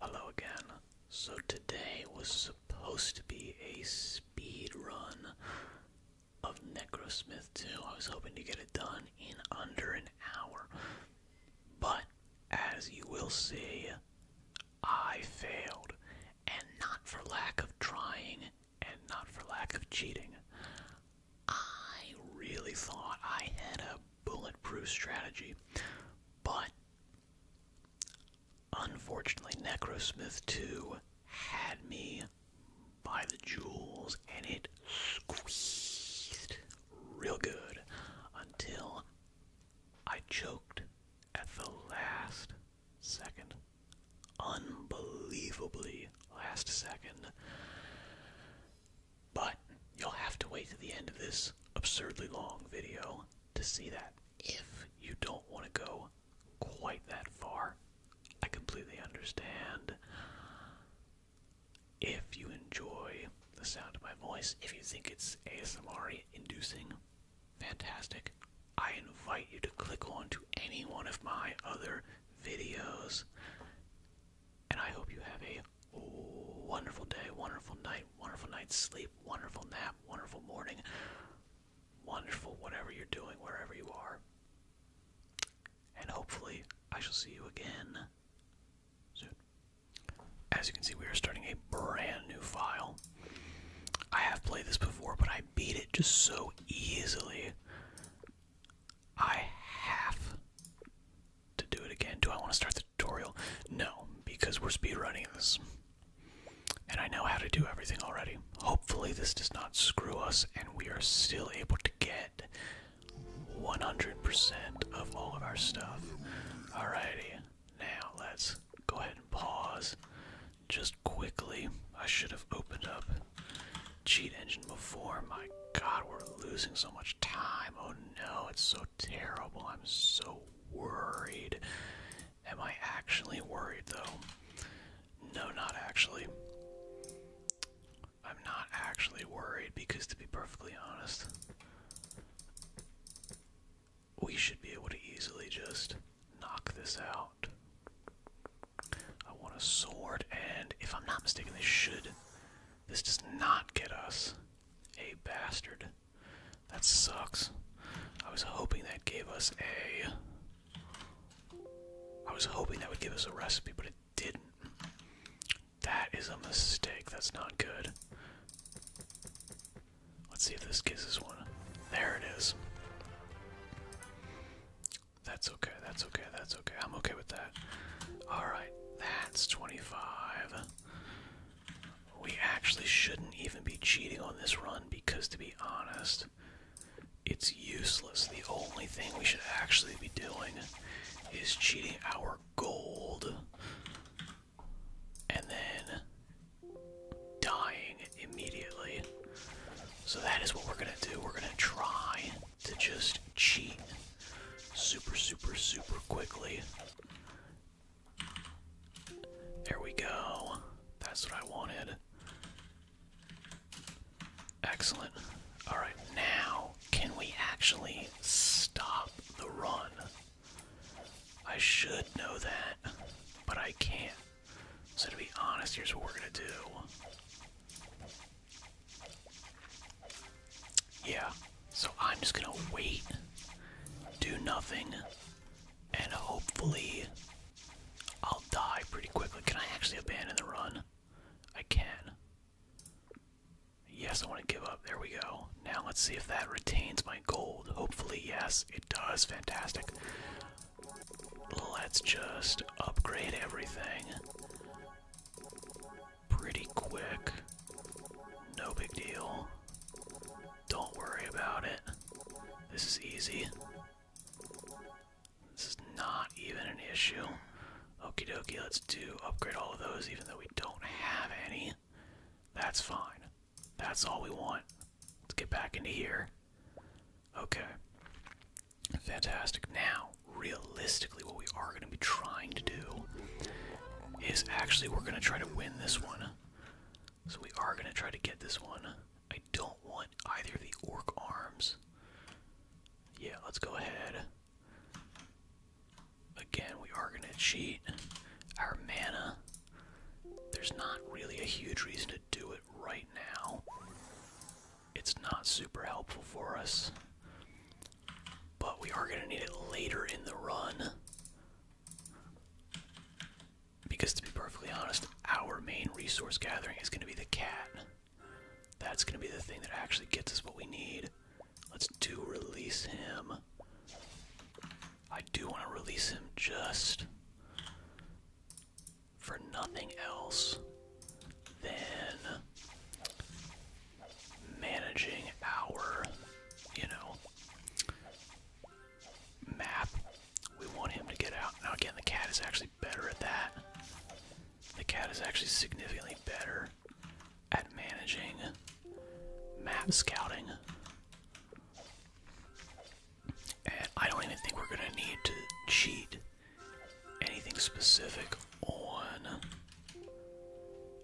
Hello again. So today was supposed to be a speed run of Necrosmith 2. I was hoping to get it done in under an hour. But as you will see, I failed. And not for lack of trying and not for lack of cheating. I really thought I had a bulletproof strategy, but Unfortunately, Necrosmith 2 had me by the jewels and it squeezed real good until I choked at the last second. Unbelievably last second. But you'll have to wait to the end of this absurdly long video to see that. If you don't want to go quite that far, I completely understand. If you enjoy the sound of my voice, if you think it's ASMR inducing, fantastic. I invite you to click on to any one of my other videos. And I hope you have a wonderful day, wonderful night, wonderful night's sleep, wonderful nap, wonderful morning, wonderful whatever you're doing, wherever you are. And hopefully, I shall see you again soon. As you can see, we are starting a brand new file. I have played this before, but I beat it just so easily. I have to do it again. Do I want to start the tutorial? No, because we're speedrunning this. And I know how to do everything already. Hopefully, this does not screw us and we are still able to get 100% of all of our stuff. Alrighty, now let's go ahead and pause just quickly. I should have opened up Cheat Engine before. My god, we're losing so much time. Oh no, it's so terrible. I'm so worried. Am I actually worried though? No, not actually. I'm not actually worried because, to be perfectly honest, we should be able to easily just knock this out. I want a sword, and if I'm not mistaken, this should. This does not get us a bastard. That sucks. I was hoping that gave us a. I was hoping that would give us a recipe, but it didn't. That is a mistake. That's not good. Let's see if this gives us one. There it is. That's okay, that's okay, that's okay. I'm okay with that. Alright, that's 25 we actually shouldn't even be cheating on this run because, to be honest, it's useless. The only thing we should actually be doing is cheating our gold and then dying immediately. So that is what we're gonna do. We're gonna try to just cheat super, super, super quickly there we go. That's what I wanted. Excellent. Alright, now can we actually stop the run? I should know that, but I can't. So, to be honest, here's what we're gonna do. Yeah, so I'm just gonna wait, do nothing, and hopefully I'll die pretty quickly. Can I actually abandon the run? I can. Yes, I want to give up. There we go. Now let's see if that retains my gold. Hopefully, yes, it does. Fantastic. Let's just upgrade everything pretty quick. No big deal. Don't worry about it. This is easy. This is not even an issue. Okie dokie, let's do upgrade all of those even though we don't have any. That's fine. That's all we want. Let's get back into here. Okay. Fantastic. Now, realistically, what we are going to be trying to do is actually we're going to try to win this one. So we are gonna try to get this one. I don't want either of the orc arms. Yeah, let's go ahead. Again, we are gonna cheat our mana. There's not really a huge reason to do it right now. It's not super helpful for us. But we are gonna need it later in the run. Because to be perfectly honest, our main resource gathering is going to be the cat. That's going to be the thing that actually gets us what we need. Let's do release him. I do want to release him just for nothing else than managing our, you know, map. We want him to get out. Now again, the cat is actually better at that. The cat is actually significantly better at managing map scouting. And I don't even think we're gonna need to cheat anything specific on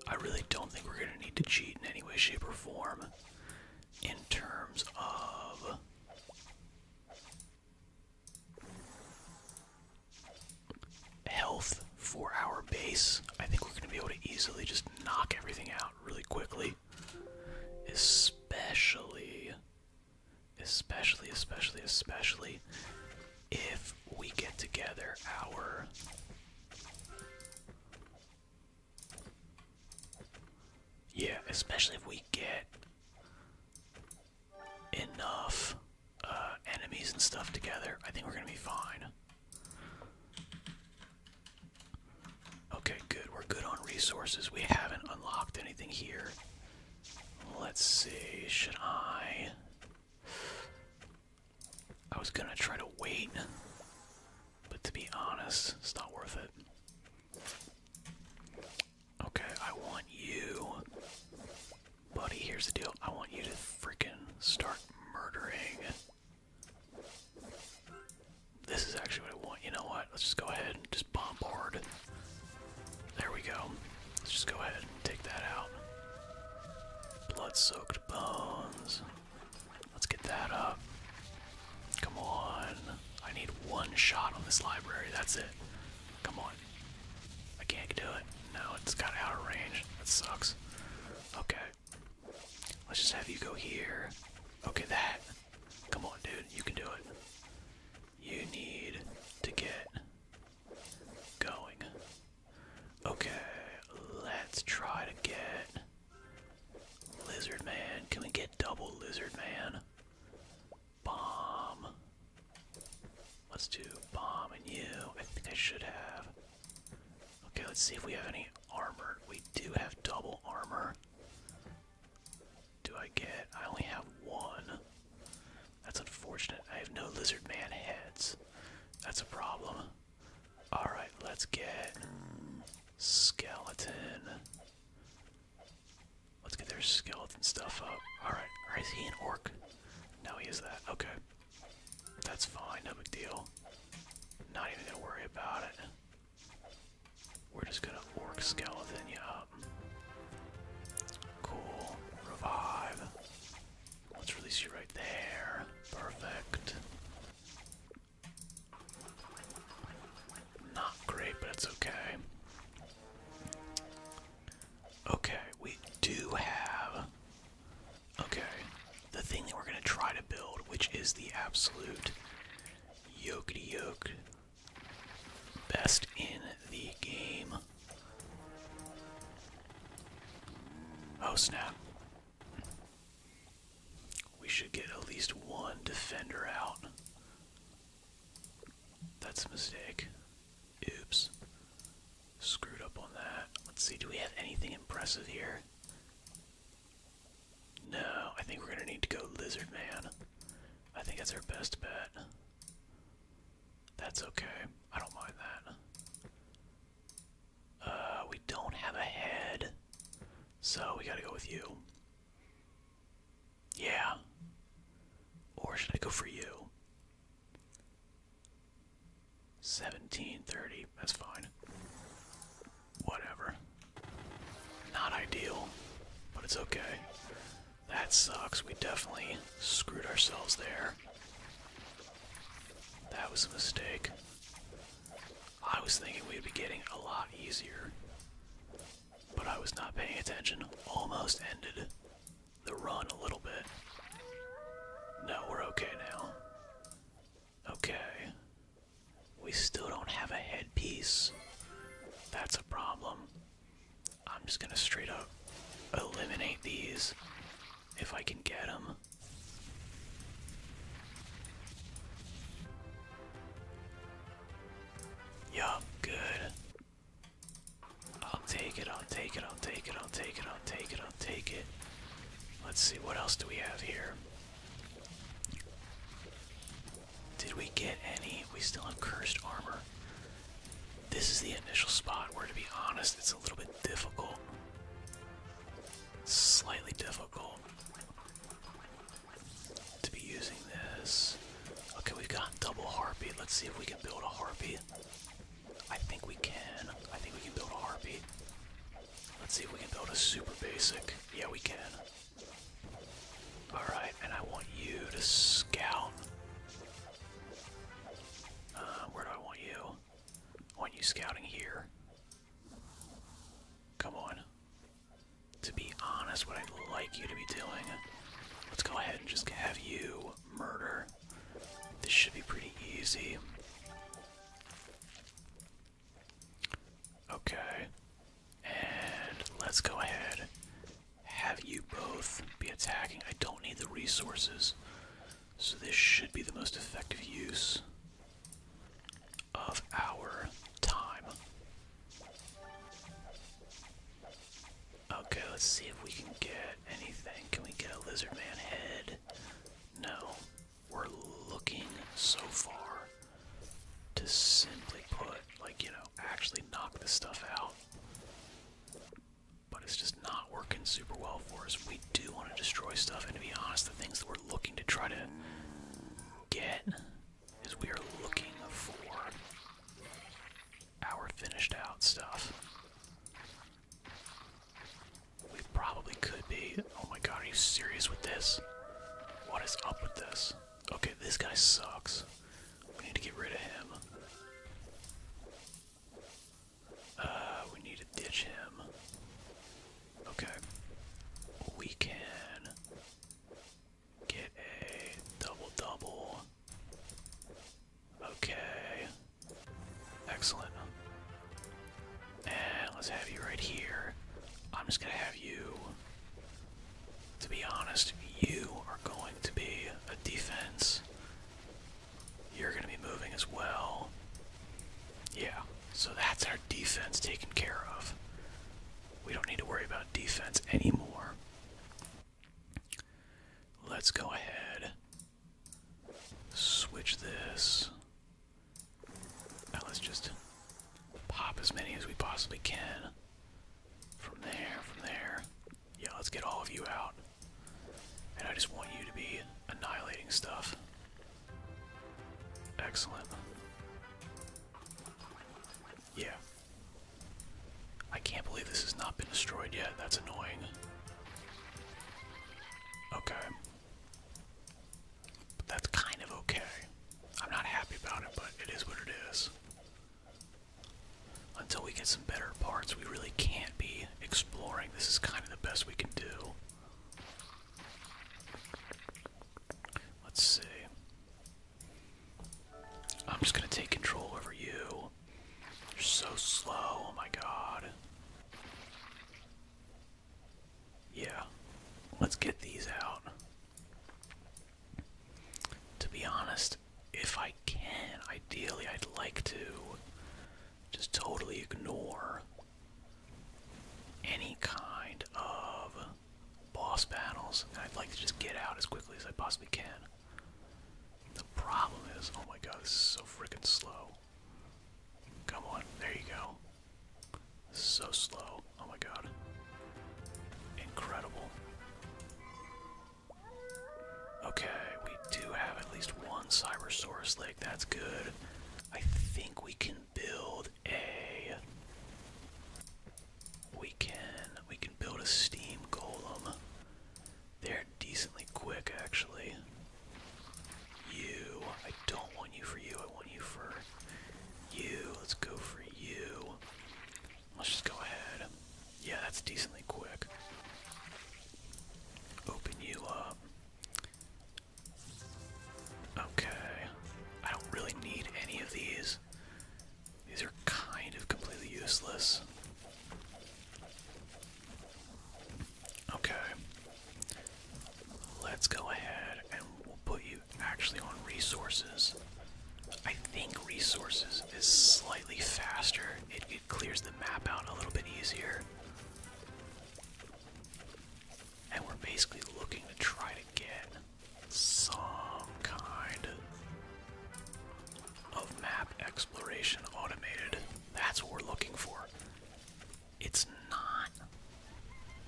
I really don't think we're going to need to cheat in any way, shape, or form in terms of. Health for our base. I think we're going to be able to easily just knock everything out really quickly. Especially, especially, especially, especially if we get together our yeah, especially if we get enough uh, enemies and stuff together, I think we're gonna be fine. Okay, good. We're good on resources. We haven't unlocked anything here. Let's see. Should I? I was gonna try to wait, but to be honest, it's not worth it. Okay, I want you, buddy. Here's the deal I want you to freaking start murdering. This is actually what I want. You know what? Let's just go ahead and just bombard. There we go. Let's just go ahead and take that out. Blood soaked bones. Let's get that up. Come on. I need one shot on this library. That's it. Come on. I can't do it. No, it's kind of out of range. That sucks. Okay. Let's just have you go here. Okay, that. Come on, dude. You can do it. You need to get going. Okay, let's try to get Lizard Man. Can we get double Lizard Man? Bomb. Let's do Bomb and you. I think I should have. Okay, let's see if we have any armor. We do have double armor. Do I get. I only have one. That's unfortunate. I have no Lizard Man heads. That's a problem. Alright, let's get skeleton. Let's get their skeleton stuff up. Alright, or is he an orc? No, he is that. Okay. That's fine, no big deal. Not even gonna worry about it. We're just gonna orc skeleton you up. Cool. Revive. Let's release you right there. Perfect. Not great, but it's okay. Okay, we do have. Okay, the thing that we're going to try to build, which is the absolute yokety yoke best in the game. Oh snap. We should get at least one defender out. That's a mistake. Oops. Screwed up on that. Let's see, do we have anything impressive here? No, I think we're gonna need to go Lizard Man. I think that's our best bet. That's okay. I don't mind that. Uh, we don't have a head, so we gotta go with you. Yeah. Or should I go for you? 1730, that's fine. Whatever. Not ideal, but it's okay. That sucks. We definitely screwed ourselves there. That was a mistake. I was thinking we'd be getting a lot easier, but I was not paying attention. Almost ended the run a little bit. No, we're okay now. Okay. We still don't have a headpiece. That's a problem. I'm just gonna straight up eliminate these if I can get them. Yup, good. I'll take it, I'll take it, I'll take it, I'll take it, I'll take it, I'll take it. Let's see, what else do we have here? Did we get any? We still have cursed armor. This is the initial spot where, to be honest, it's a little bit difficult. Slightly difficult to be using this. Okay, we've got double harpy. Let's see if we can build a harpy. I think we can. I think we can build a harpy. Let's see if we can build a super basic. Yeah, we can. Alright, and I want you to scout. Uh, where do I want you? I want you scouting here. Come on. To be honest, what I'd like you to be doing, let's go ahead and just have you murder. This should be pretty easy. Okay. And let's go ahead. Have you both be attacking? I don't need the resources. So this should be the most effective use of our time. Okay, let's see if we can get anything. Can we get a lizard man head? No. We're looking so far to simply put, like, you know, actually knock the stuff out. But it's just not working super well for us. We do want to destroy stuff, and to be honest, the things that we're looking to try to get is we are looking for our finished out stuff. We probably could be. Oh my god, are you serious with this? What is up with this? Okay, this guy sucks. We need to get rid of him. Uh, we need to ditch him. Okay. We can get a double double. Okay. Excellent. And let's have you right here. I'm just going to have you. To be honest, you are going to be a defense. You're going to be moving as well. Yeah, so that's our defense taken care of. We don't need to worry about defense anymore. Let's go ahead, switch this. Now let's just pop as many as we possibly can. From there, from there. Yeah, let's get all of you out. And I just want you to be annihilating stuff. Excellent. Yeah. I can't believe this has not been destroyed yet. That's annoying. Okay. that's kind of okay. I'm not happy about it, but it is what it is. Until we get some better parts, we really can't be exploring. This is kind of the best we can do. Let's see. I'm just gonna take control over you. You're so slow, oh my god. Yeah, let's get these out. To be honest, if I can, ideally I'd like to just totally ignore any kind of boss battles, I'd like to just get out as quickly as I possibly can. The problem is, oh my god, this is so freaking slow. Come on, there you go. So slow. Oh my god. Incredible. Okay, we do have at least one Cybersaurus Lake. That's good. I think we can build a we can we can build a steam golem. They're decently quick actually. You I don't want you for you, I want you for you. Let's go for you. Let's just go ahead. Yeah, that's decently quick. Open you up. Okay. I don't really need any of these. These are kind of completely useless. Okay. Let's go ahead and we'll put you actually on resources. I think resources is slightly faster. It, it clears the map out a little bit easier. And we're basically looking to try to get some kind of map exploration automated. That's what we're looking for. It's not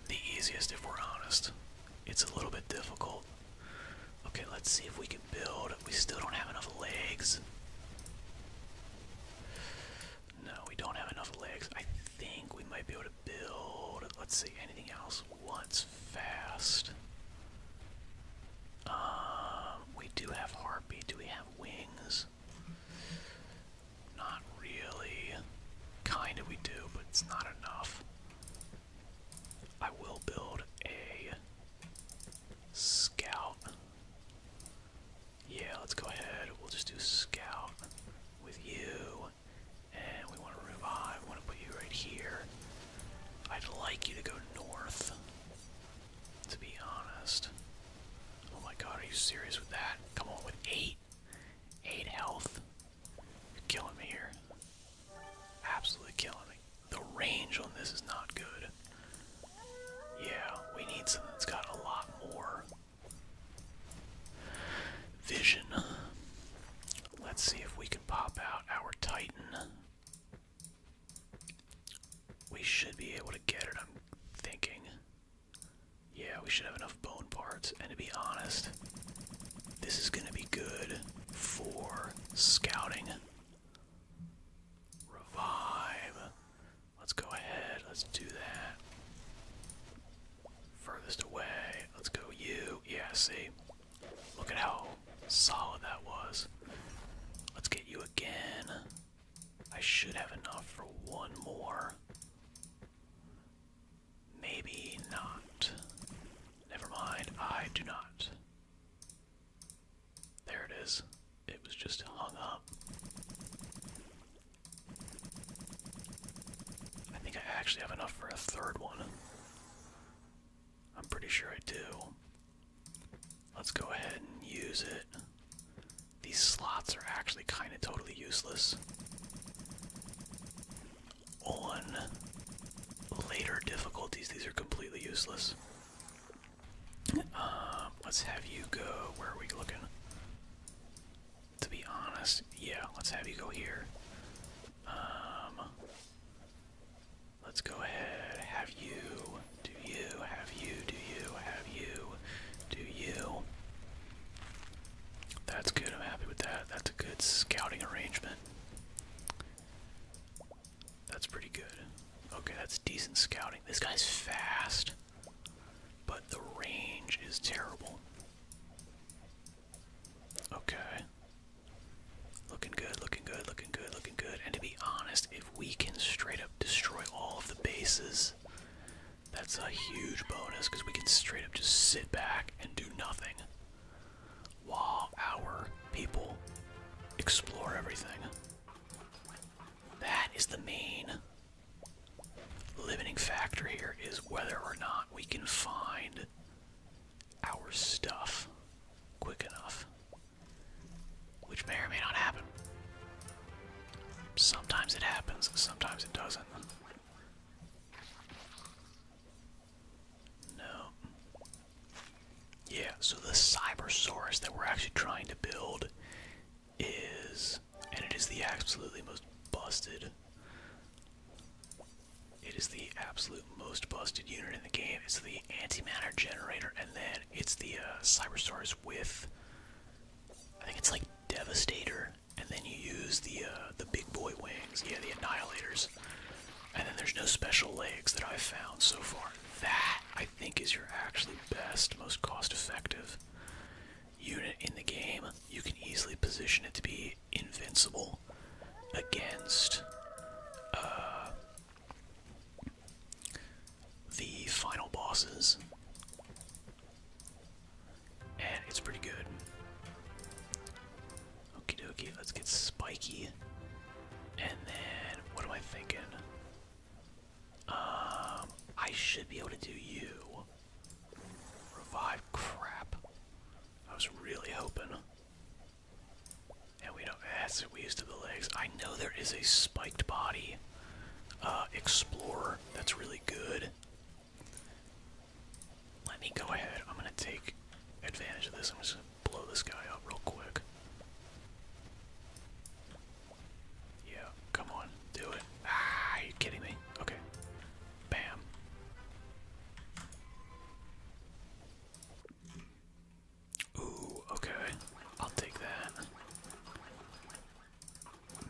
the easiest if we're honest. It's a little bit difficult. Okay, let's see if we can build. We still don't have enough legs. No, we don't have enough legs. I think we might be able to build. Let's see, anything else? What's fast? Um, we do have harpy. Do we have wings? Not really. Kinda we do, but it's not enough. I will build a scout. Yeah, let's go ahead. We'll just do scout with you. And we want to move on. We want to put you right here. I'd like you to go north, to be honest. Oh my god, are you serious with that? Come on, with eight. Eight health. You're killing me here. Absolutely killing me. The range on this is not good. Yeah, we need something that's got a lot more Vision. Let's see if we can pop out our Titan. We should be able to get it, I'm thinking. Yeah, we should have enough bone parts. And to be honest, this is going to be good for scouting. Revive. Let's go ahead. Let's do that. Farthest away. Let's go you. Yeah, see? Look at how solid that was. Let's get you again. I should have enough for one more. Maybe not. Never mind, I do not. There it is. It was just hung up. I think I actually have enough for a third one. I'm pretty sure I do. Let's go ahead and use it. These slots are actually kind of totally useless. On later difficulties, these are completely useless. Um, let's have you go. Where are we looking? To be honest, yeah, let's have you go here. Um, let's go ahead. Have you? Do you? Have you? Do you? Have you? Do you? That's good. I'm happy with that. That's a good scouting arrangement. That's pretty good. Okay, that's decent scouting. This guy's fast but the range is terrible. Okay. Looking good, looking good, looking good, looking good. And to be honest, if we can straight up destroy all of the bases, that's a huge bonus because we can straight up just sit back and do nothing while our people explore everything. That is the main limiting factor here is whether or not we can find our stuff quick enough, which may or may not happen. Sometimes it happens, sometimes it doesn't. No. Yeah, so the Cybersaurus that we're actually trying to build is, and it is the absolutely most busted. It is the absolute most busted unit in the game. It's the antimatter generator, and then it's the uh, Cyberstars with, I think it's like Devastator, and then you use the uh, the big boy wings, yeah, the Annihilators, and then there's no special legs that I've found so far. That I think is your actually best, most cost-effective unit in the game, you can easily position it to be invincible against uh, the final bosses. And it's pretty good. Okie dokie, let's get spiky. And then, what am I thinking? Um, I should be able to do you. Revive crap. I was really hoping. And we don't we used to the legs. I know there is a spiked body uh explorer that's really good. Let me go ahead. I'm gonna take advantage of this. I'm just gonna blow this guy up real quick. Yeah, come on. Do it. Ah, you kidding me? Okay. Bam. Ooh, okay. I'll take that.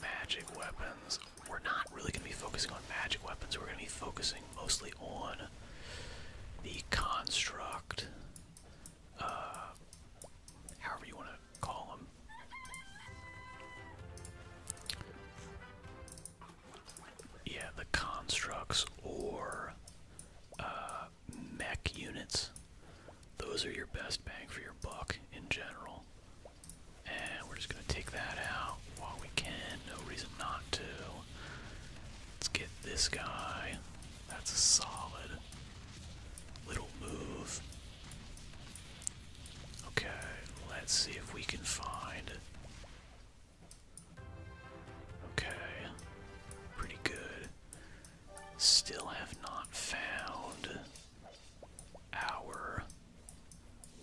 Magic weapons. We're not really going to be focusing on magic weapons. We're going to be focusing mostly on the construct. Uh, however you want to call Yeah, the constructs or uh, mech units. Those are your best bang for your buck in general. And we're just going to take that out while we can. No reason not to. Let's get this guy. That's a solid little move. Okay, let's see if we can find. Okay, pretty good. Still have not found our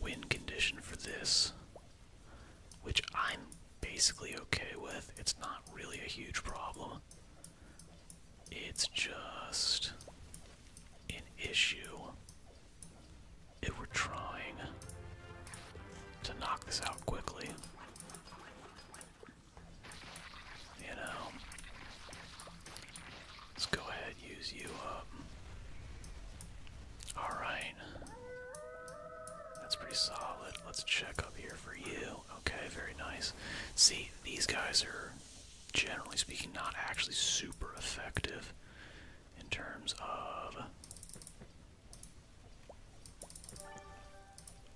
win condition for this, which I'm basically okay with. It's not really a huge problem, it's just an issue if we're trying to knock this out quickly, you know, let's go ahead use you up. All right, that's pretty solid. Let's check up here for you. Okay, very nice. See, these guys are generally speaking, not actually super effective in terms of.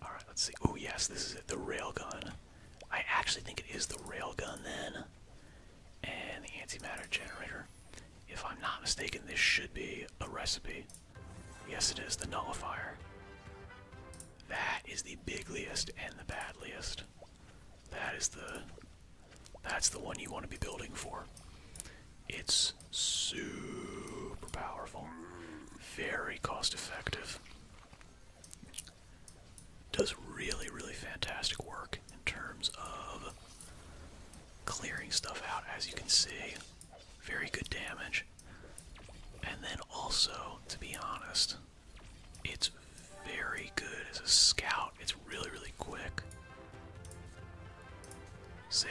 Alright, let's see. Oh, yes, this is it. The gun. I actually think it is the rail gun then. And the antimatter generator. If I'm not mistaken, this should be a recipe. Yes, it is the nullifier. That is the bigliest and the badliest. That is the that's the one you want to be building for. It's super powerful. Very cost effective. Does really, really fantastic work in terms of clearing stuff out, as you can see. Very good damage. And then also, to be honest, it's very good as a scout. It's really, really quick. Save.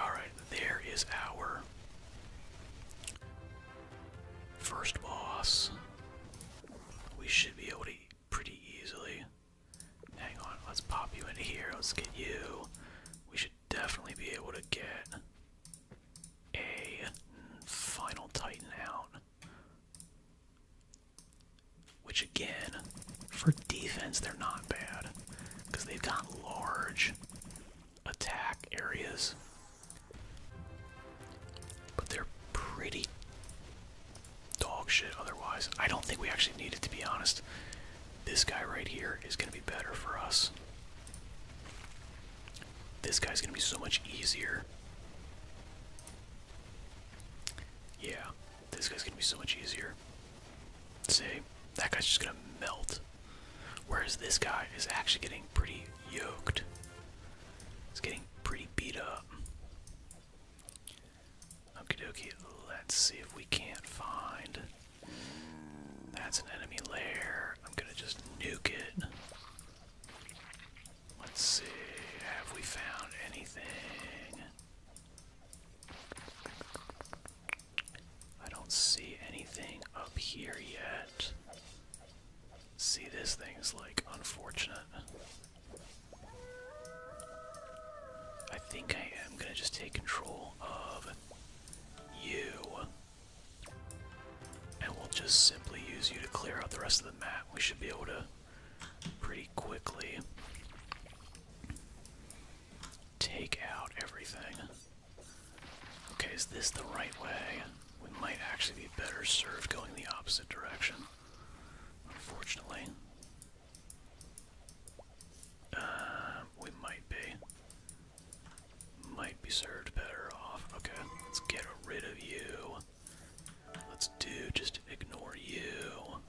Alright, there is our first boss. We should be able to pretty easily. Hang on, let's pop you in here. Let's get you. We should definitely be able to get a final Titan out. Which again, for defense, they're not bad because they've got large attack areas. But they're pretty dog shit otherwise. I don't think we actually need it, to be honest. This guy right here is going to be better for us. This guy's going to be so much easier. Yeah, this guy's gonna be so much easier. See, that guy's just gonna melt. Whereas this guy is actually getting pretty yoked. It's getting pretty beat up. Okie dokie, let's see if we can't find. That's an enemy lair. I'm gonna just nuke it. Let's see, have we found anything? I don't see anything up here yet. See, this thing's like unfortunate. I think I am gonna just take control of you. And we'll just simply use you to clear out the rest of the map. We should be able to pretty quickly take out everything. Okay, is this the right way? We might actually be better served going the opposite direction, unfortunately. Um, we might be. Might be served better off. Okay, let's get rid of you. Let's do just ignore you.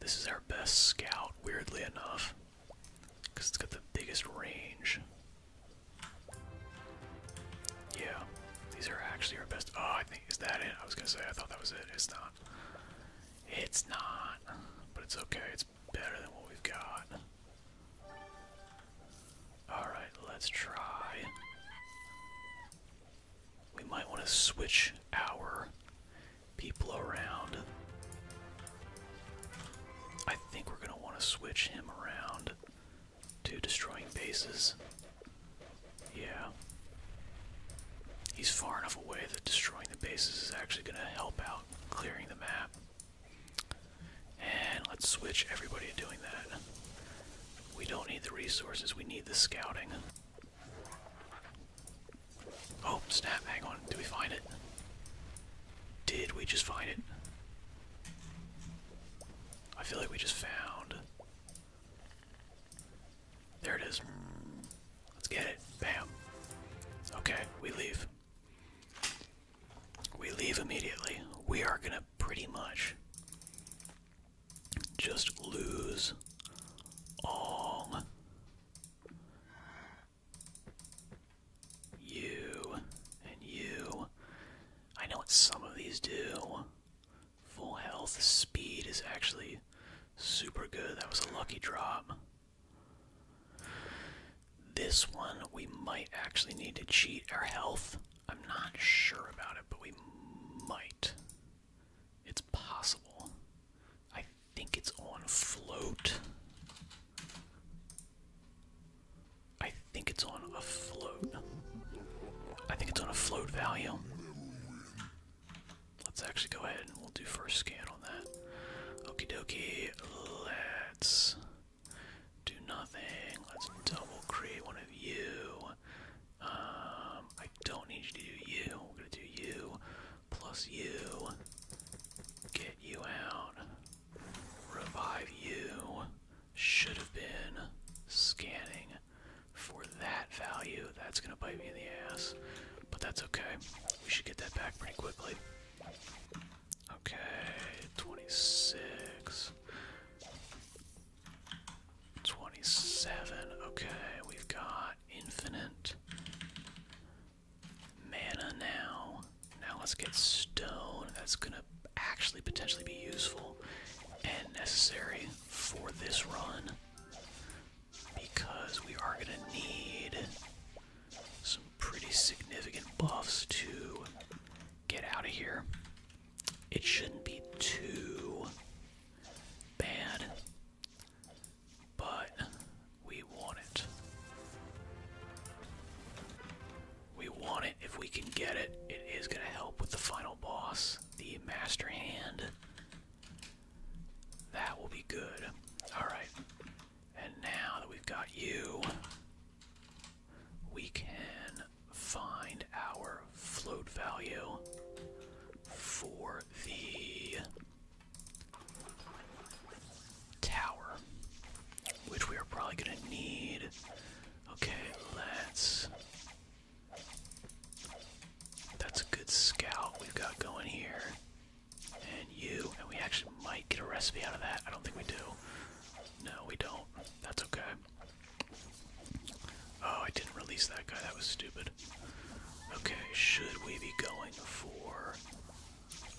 This is our best scout, weirdly enough, because it's got the biggest range. Yeah, these are actually our best. Oh, I think is that it? I was gonna say I thought that was it. It's not. It's not, but it's okay. It's better than what we've got. All right, let's try. We might want to switch our people around. I think we're going to want to switch him around to destroying bases. Yeah. He's far enough away that destroying the bases is actually going to help out clearing the map. And let's switch everybody to doing that. We don't need the resources, we need the scouting. Oh, snap, hang on. Did we find it? Did we just find it? I feel like we just found. There it is. Let's get it. Bam. Okay, we leave. We leave immediately. We are gonna pretty much just lose all you and you. I know what some of these do. Full health speed is actually super good. That was a lucky drop. This one we might actually need to cheat our health. I'm not sure about it, but we might. It's possible. I think it's on float. I think it's on a float. I think it's on a float value. Let's actually go ahead and we'll do first scan on that. Okie dokie, let's do nothing. Let's double create one of you. Um, I don't need you to do you. We're gonna do you plus you. Get you out. Revive you. Should have been scanning for that value. That's gonna bite me in the ass, but that's okay. We should get that back pretty quickly. Okay, 26. 27. Okay, we've got infinite mana now. Now let's get stone. That's going to actually potentially be useful and necessary for this run because we are going to need some pretty significant buffs to get out of here it shouldn't be too bad, but we want it. We want it if we can get it. It is going to help with the final boss, the Master Hand. That will be good. Alright. And now that we've got you, we can find our float value for the tower, which we are probably going to need. Okay, let's. That's a good scout we've got going here. And you. And we actually might get a recipe out of that. I don't think we do. No, we don't. That's okay. Oh, I didn't release that guy. That was stupid. Okay, should we be going for.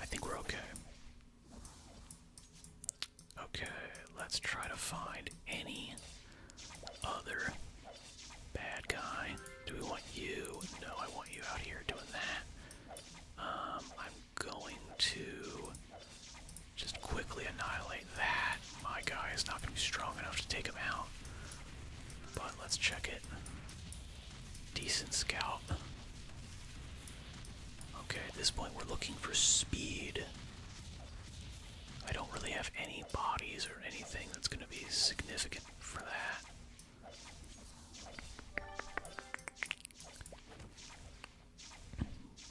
I think we're okay. Okay, let's try to find any other bad guy. Do we want you? No, I want you out here doing that. Um, I'm going to just quickly annihilate that, my guy is not going to be strong enough to take him out. But let's check it. Decent scout. Okay, at this point we're looking for speed. I don't really have any bodies or anything that's going to be significant for that.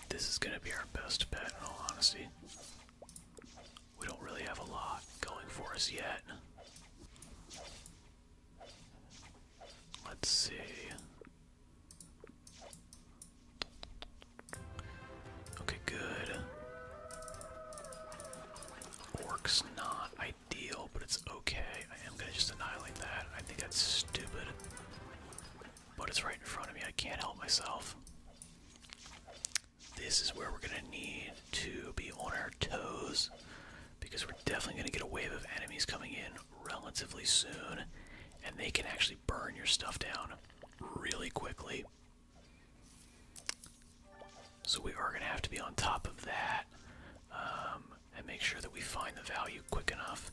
This is going to be our best bet in all honesty. We don't really have a lot going for us yet. Let's see. Okay, good. Orc's not ideal, but it's okay. I am gonna just annihilate that. I think that's stupid. But it's right in front of me. I can't help myself. This is where we're gonna need to be on our toes because we're definitely gonna get a wave of enemies coming in relatively soon, and they can actually burn your stuff down really quickly. So we are gonna have to be on top of that um, and make sure that we find the value quick enough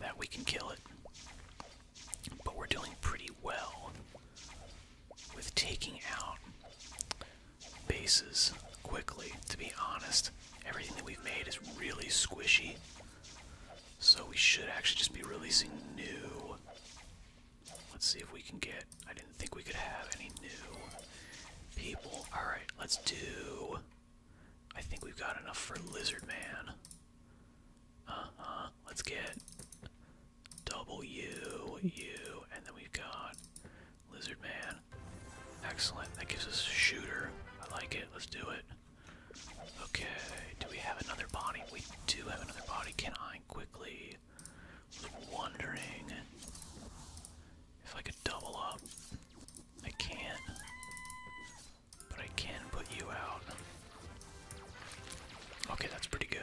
that we can kill it. But we're doing pretty well with taking out bases quickly. To be honest, everything that we've made is really squishy. So we should actually just be releasing new. Let's see if we can get. I didn't think we could have any new people. Alright, let's do. I think we've got enough for Lizard Man. Uh huh. Let's get double and then we've got Lizard Man. Excellent. That gives us a shooter. I like it. Let's do it. Okay, do we have another body? We do have another body. Can I quickly? I'm wondering if I could double up. I can't. But I can put you out. Okay, that's pretty good.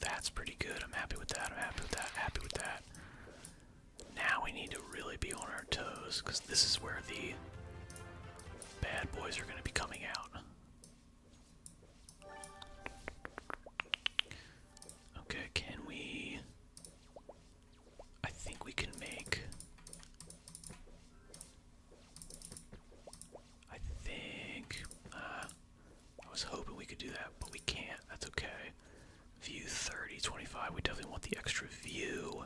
That's pretty good. I'm happy with that. I'm happy with that. Happy with that. Now we need to really be on our toes because this is where the bad boys are going to be coming out. Okay, can we. I think we can make. I think uh, I was hoping we could do that, but we can't. That's okay. View 30, 25. We definitely want the extra view.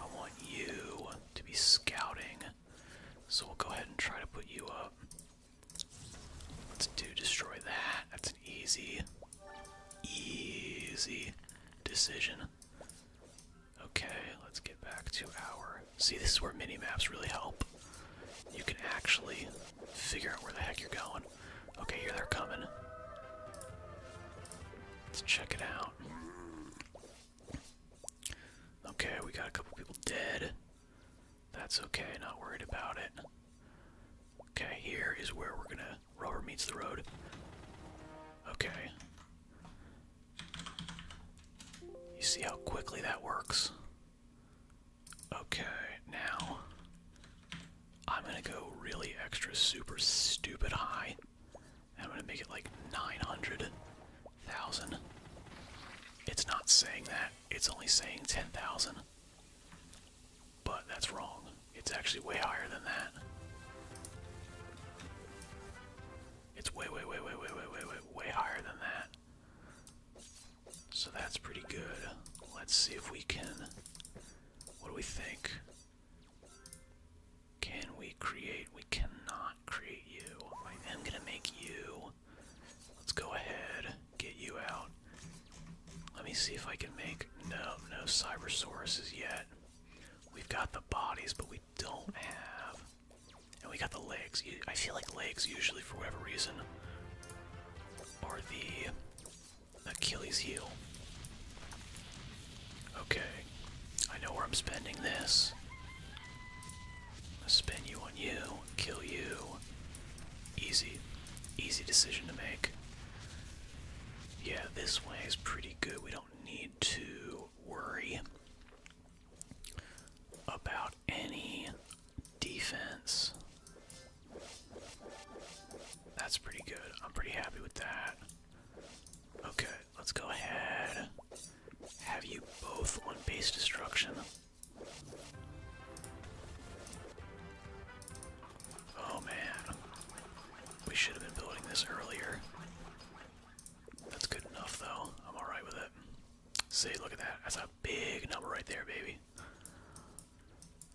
I want you to be scouting. So we'll go ahead and try to put you up. Let's do destroy that. That's an easy, easy decision. Okay, let's get back to our See, this is where mini maps really help. You can actually figure out where the heck you're going. Okay, here they're coming. Let's check it out. Okay, we got a couple people dead. That's okay, not worried about it. Okay, here is where we're gonna rubber meets the road. Okay. You see how quickly that works? Okay, now I'm gonna go really extra super stupid high. I'm gonna make it like 900,000. It's not saying that, it's only saying 10,000. But that's wrong. It's actually way higher than that. It's way, way, way, way, way, way, way, way, way higher than that. So that's pretty good. Let's see if we can. What do we think? Can we create? We cannot create you. I am gonna make you. Let's go ahead, get you out. Let me see if I can make. No, no Cybersauruses yet. We've got the bodies, but we don't have and we got the legs. I feel like legs usually, for whatever reason, are the Achilles heel. Okay, I know where I'm spending this. I spend you on you, kill you. Easy, easy decision to make. Yeah, this way is pretty good. We don't need to worry about any defense. That's pretty good. I'm pretty happy with that. Okay, let's go ahead. Have you both on base destruction? Oh man. We should have been building this earlier. That's good enough though. I'm alright with it. See, look at that. That's a big number right there, baby.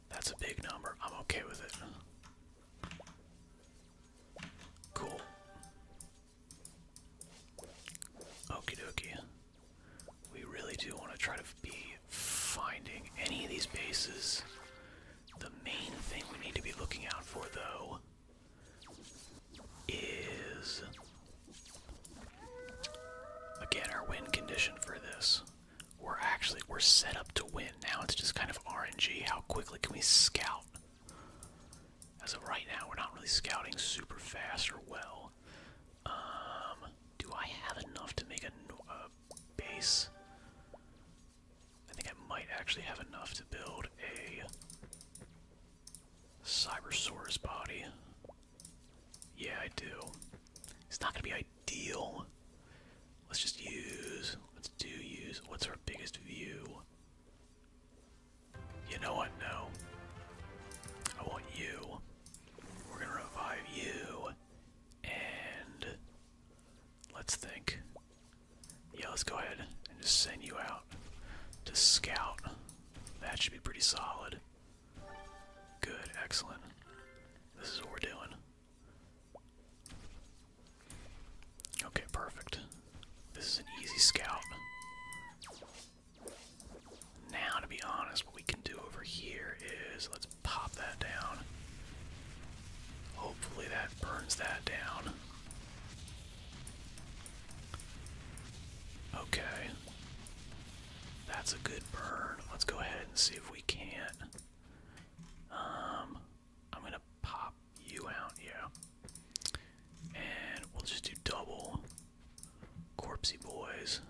That's a big number. I'm okay with it. Cool. Okie dokie. We really do want to try to be finding any of these bases. The main thing we need to be looking out for, though, is again our win condition for this. We're actually we're set up to win now. It's just kind of RNG. How quickly can we scout? As of right now, we're not really scouting super fast or well. Um, do I have enough to make a, a base? I think I might actually have enough to build a Cybersaurus body. Yeah, I do. It's not gonna be ideal. Let's just use. Let's do use. What's our biggest view? You know what? No. I want you. We're gonna revive you. And let's think. Yeah, let's go ahead and just send you out to scout. That should be pretty solid. Good, excellent. This is what we're doing. Okay, perfect. This is an easy scout. Now, to be honest, what we can do over here is let's pop that down. Hopefully, that burns that down. Okay. That's a good burn. Let's go ahead and see if we can't. Um, I'm gonna pop you out, yeah. And we'll just do double corpsey boys.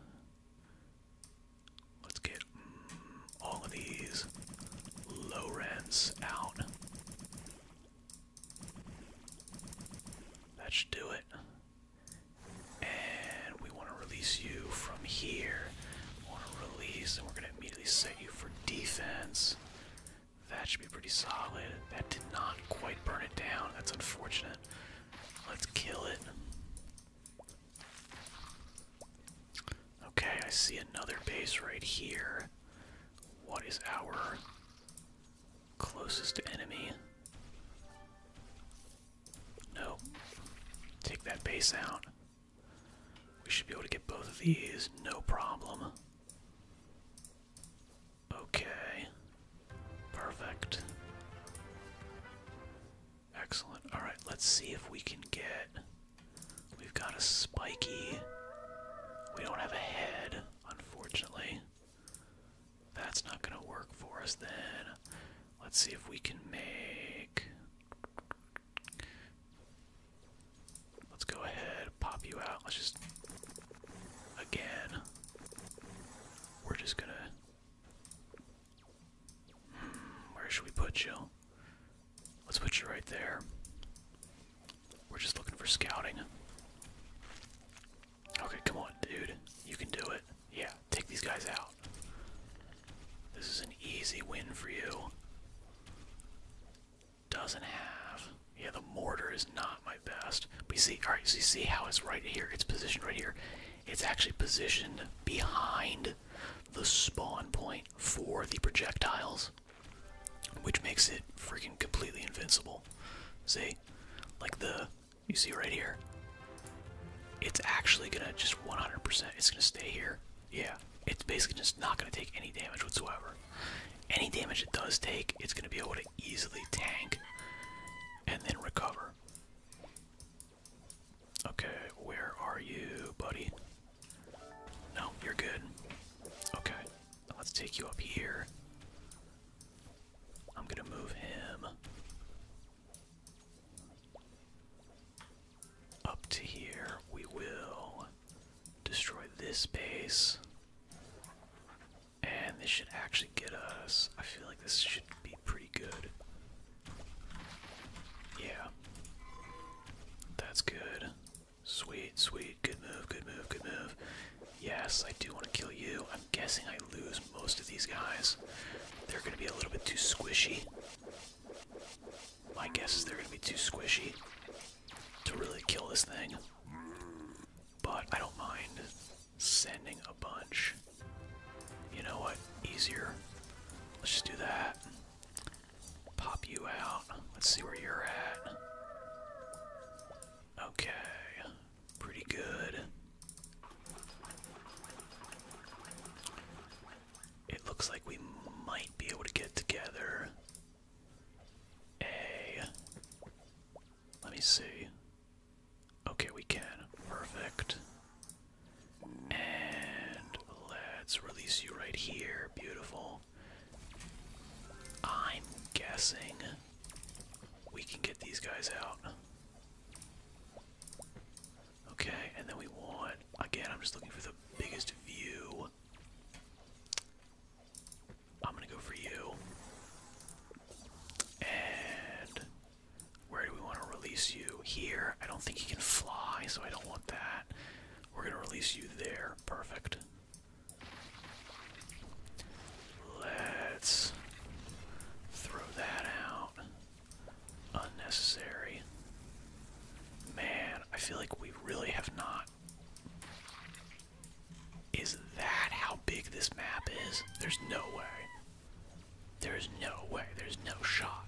Let's get mm, all of these low rents out. That should do it. And we want to release you from here. We want to release, and we're going to immediately set you for defense. That should be pretty solid. That did not quite burn it down. That's unfortunate. Let's kill it. Okay, I see another base right here. What is our Closest enemy. No. Take that base out. We should be able to get both of these, no problem. Okay. Perfect. Excellent. Alright, let's see if we can get. We've got a spiky. We don't have a head, unfortunately. That's not gonna work for us then. Let's see if we can make. Let's go ahead, pop you out. Let's just. Again. We're just gonna. Hmm, where should we put you? Let's put you right there. We're just looking for scouting. Okay, come on, dude. You can do it. Yeah, take these guys out. This is an easy win for you. Doesn't have. Yeah, the mortar is not my best. But you see, alright, so you see how it's right here? It's positioned right here. It's actually positioned behind the spawn point for the projectiles, which makes it freaking completely invincible. See? Like the you see right here? It's actually gonna just 100%, it's gonna stay here. Yeah, it's basically just not gonna take any damage whatsoever. Any damage it does take, it's gonna be able to easily tank and then recover. Okay, where are you, buddy? No, you're good. Okay, let's take you up here. I'm going to move him up to here. We will destroy this base. And this should actually get us. I feel like this should be pretty good. Yeah. That's good. Sweet, sweet. Good move, good move, good move. Yes, I do want to kill you. I'm guessing I lose most of these guys. They're going to be a little bit too squishy. My guess is they're going to be too squishy to really kill this thing. But I don't mind sending a bunch. You know what? Easier. Let's just do that. Pop you out. Let's see where you're at. Okay pretty good. It looks like we might be able to get together a. Let me see. Okay, we can. Perfect. And let's release you right here. Beautiful. I'm guessing we can get these guys out. Okay, and then we want, again, I'm just looking for the biggest view. I'm gonna go for you. And where do we want to release you? Here. I don't think he can fly, so I don't want that. We're gonna release you there. Perfect. Let's throw that out. Unnecessary. Man, I feel like we really have not. Is that how big this map is? There's no way. There's no way. There's no shot.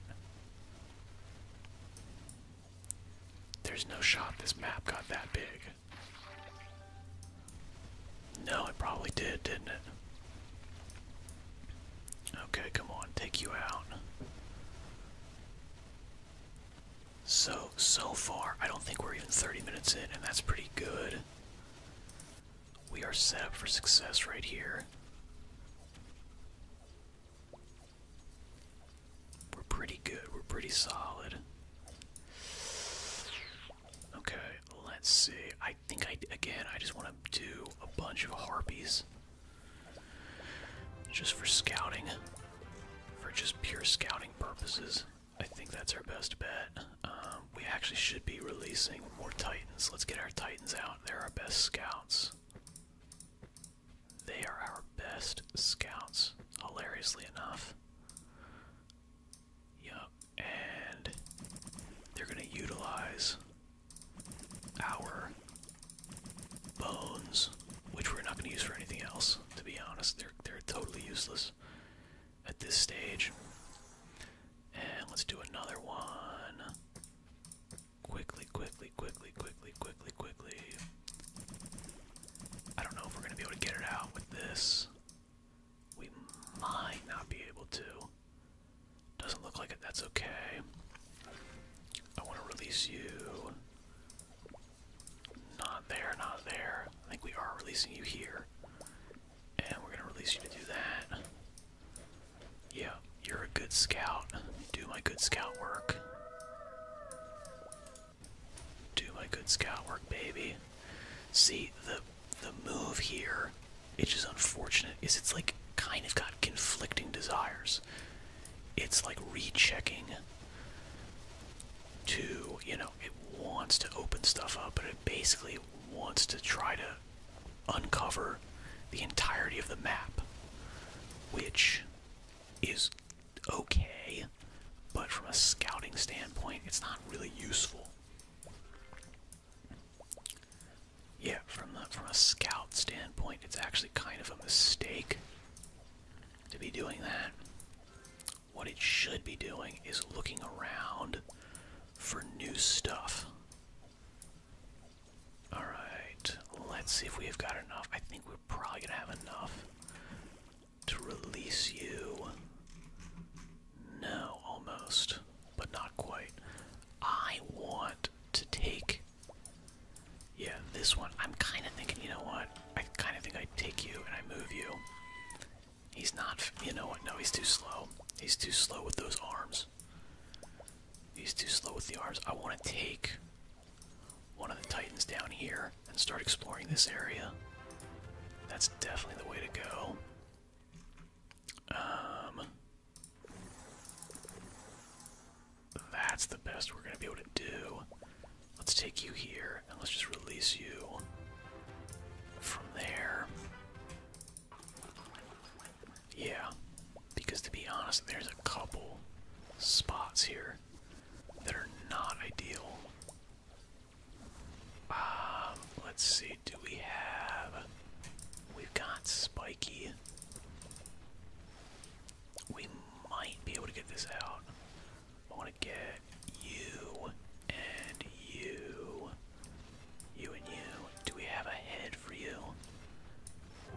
There's no shot this map got that big. No, it probably did, didn't it? Okay, come on, take you out. So, so far, I don't think we're even 30 minutes in, and that's pretty good. We are set up for success right here. We're pretty good, we're pretty solid. Okay, let's see. I think I again I just want to do a bunch of harpies. Just for scouting. For just pure scouting purposes. I think that's our best bet. Um, we actually should be releasing more titans. Let's get our titans out. They're our best scouts. They are our best scouts, hilariously enough. Yup and they're going to utilize our bones, which we're not going to use for anything else, to be honest. They're, they're totally useless at this stage. And let's do another one. Quickly, quickly, quickly, quickly, quickly, quickly. I don't know if we're going to be able to get it out with this. We might not be able to. Doesn't look like it. That's okay. I want to release you. Not there, not there. I think we are releasing you here. And we're going to release you to do that. Yeah, you're a good scout. Do my good scout work. Do my good scout work, baby. See, the the move here, it's just unfortunate, is it's like kind of got conflicting desires. It's like rechecking to, you know, it wants to open stuff up, but it basically wants to try to uncover the entirety of the map, which is okay, but from a scouting standpoint, it's not really useful. Yeah, from the, from a scout standpoint, it's actually kind of a mistake to be doing that. What it should be doing is looking around for new stuff. All right, let's see if we've got enough. I think we're probably gonna have enough to release you no, almost, but not quite. I want to take. Yeah, this one. I'm kind of thinking, you know what? I kind of think I take you and I move you. He's not. You know what? No, he's too slow. He's too slow with those arms. He's too slow with the arms. I want to take one of the Titans down here and start exploring this area. That's definitely the way to go. Um, that's the best we're going to be able to do. Let's take you here and let's just release you from there. Yeah, because to be honest, there's a couple spots here that are not ideal um, let's see, do we have we've got spiky. We might be able to get this out. I wanna get you and you. You and you. Do we have a head for you?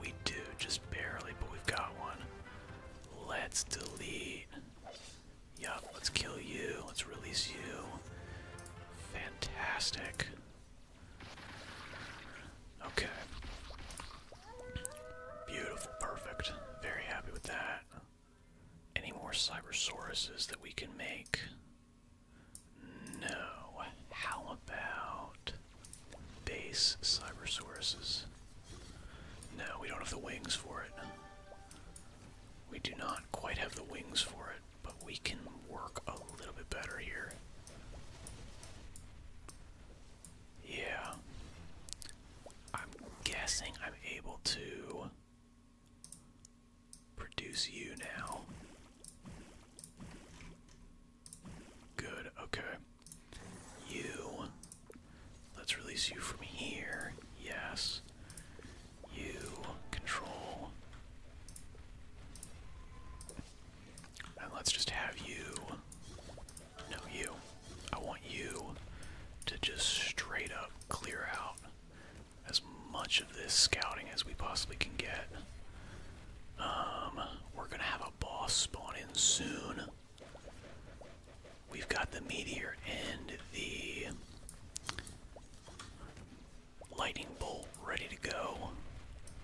We do, just barely, but we've got one. Let's delete Yup, let's kill you. Let's release you. Fantastic. Okay. Beautiful, perfect. Very happy with that. Any more Cybersauruses that we can make? No. How about base Cybersauruses? No, we don't have the wings for it. We do not quite have the wings for it but we can work a little bit better here. Yeah. I'm guessing I'm able to produce you now. Good, okay. You. Let's release you from here. Yes. You control. And let's just have you. No, you. I want you to just straight up clear out as much of this scouting as we possibly can get. Um, we're gonna have a boss spawn in soon. We've got the meteor and the Lightning bolt ready to go.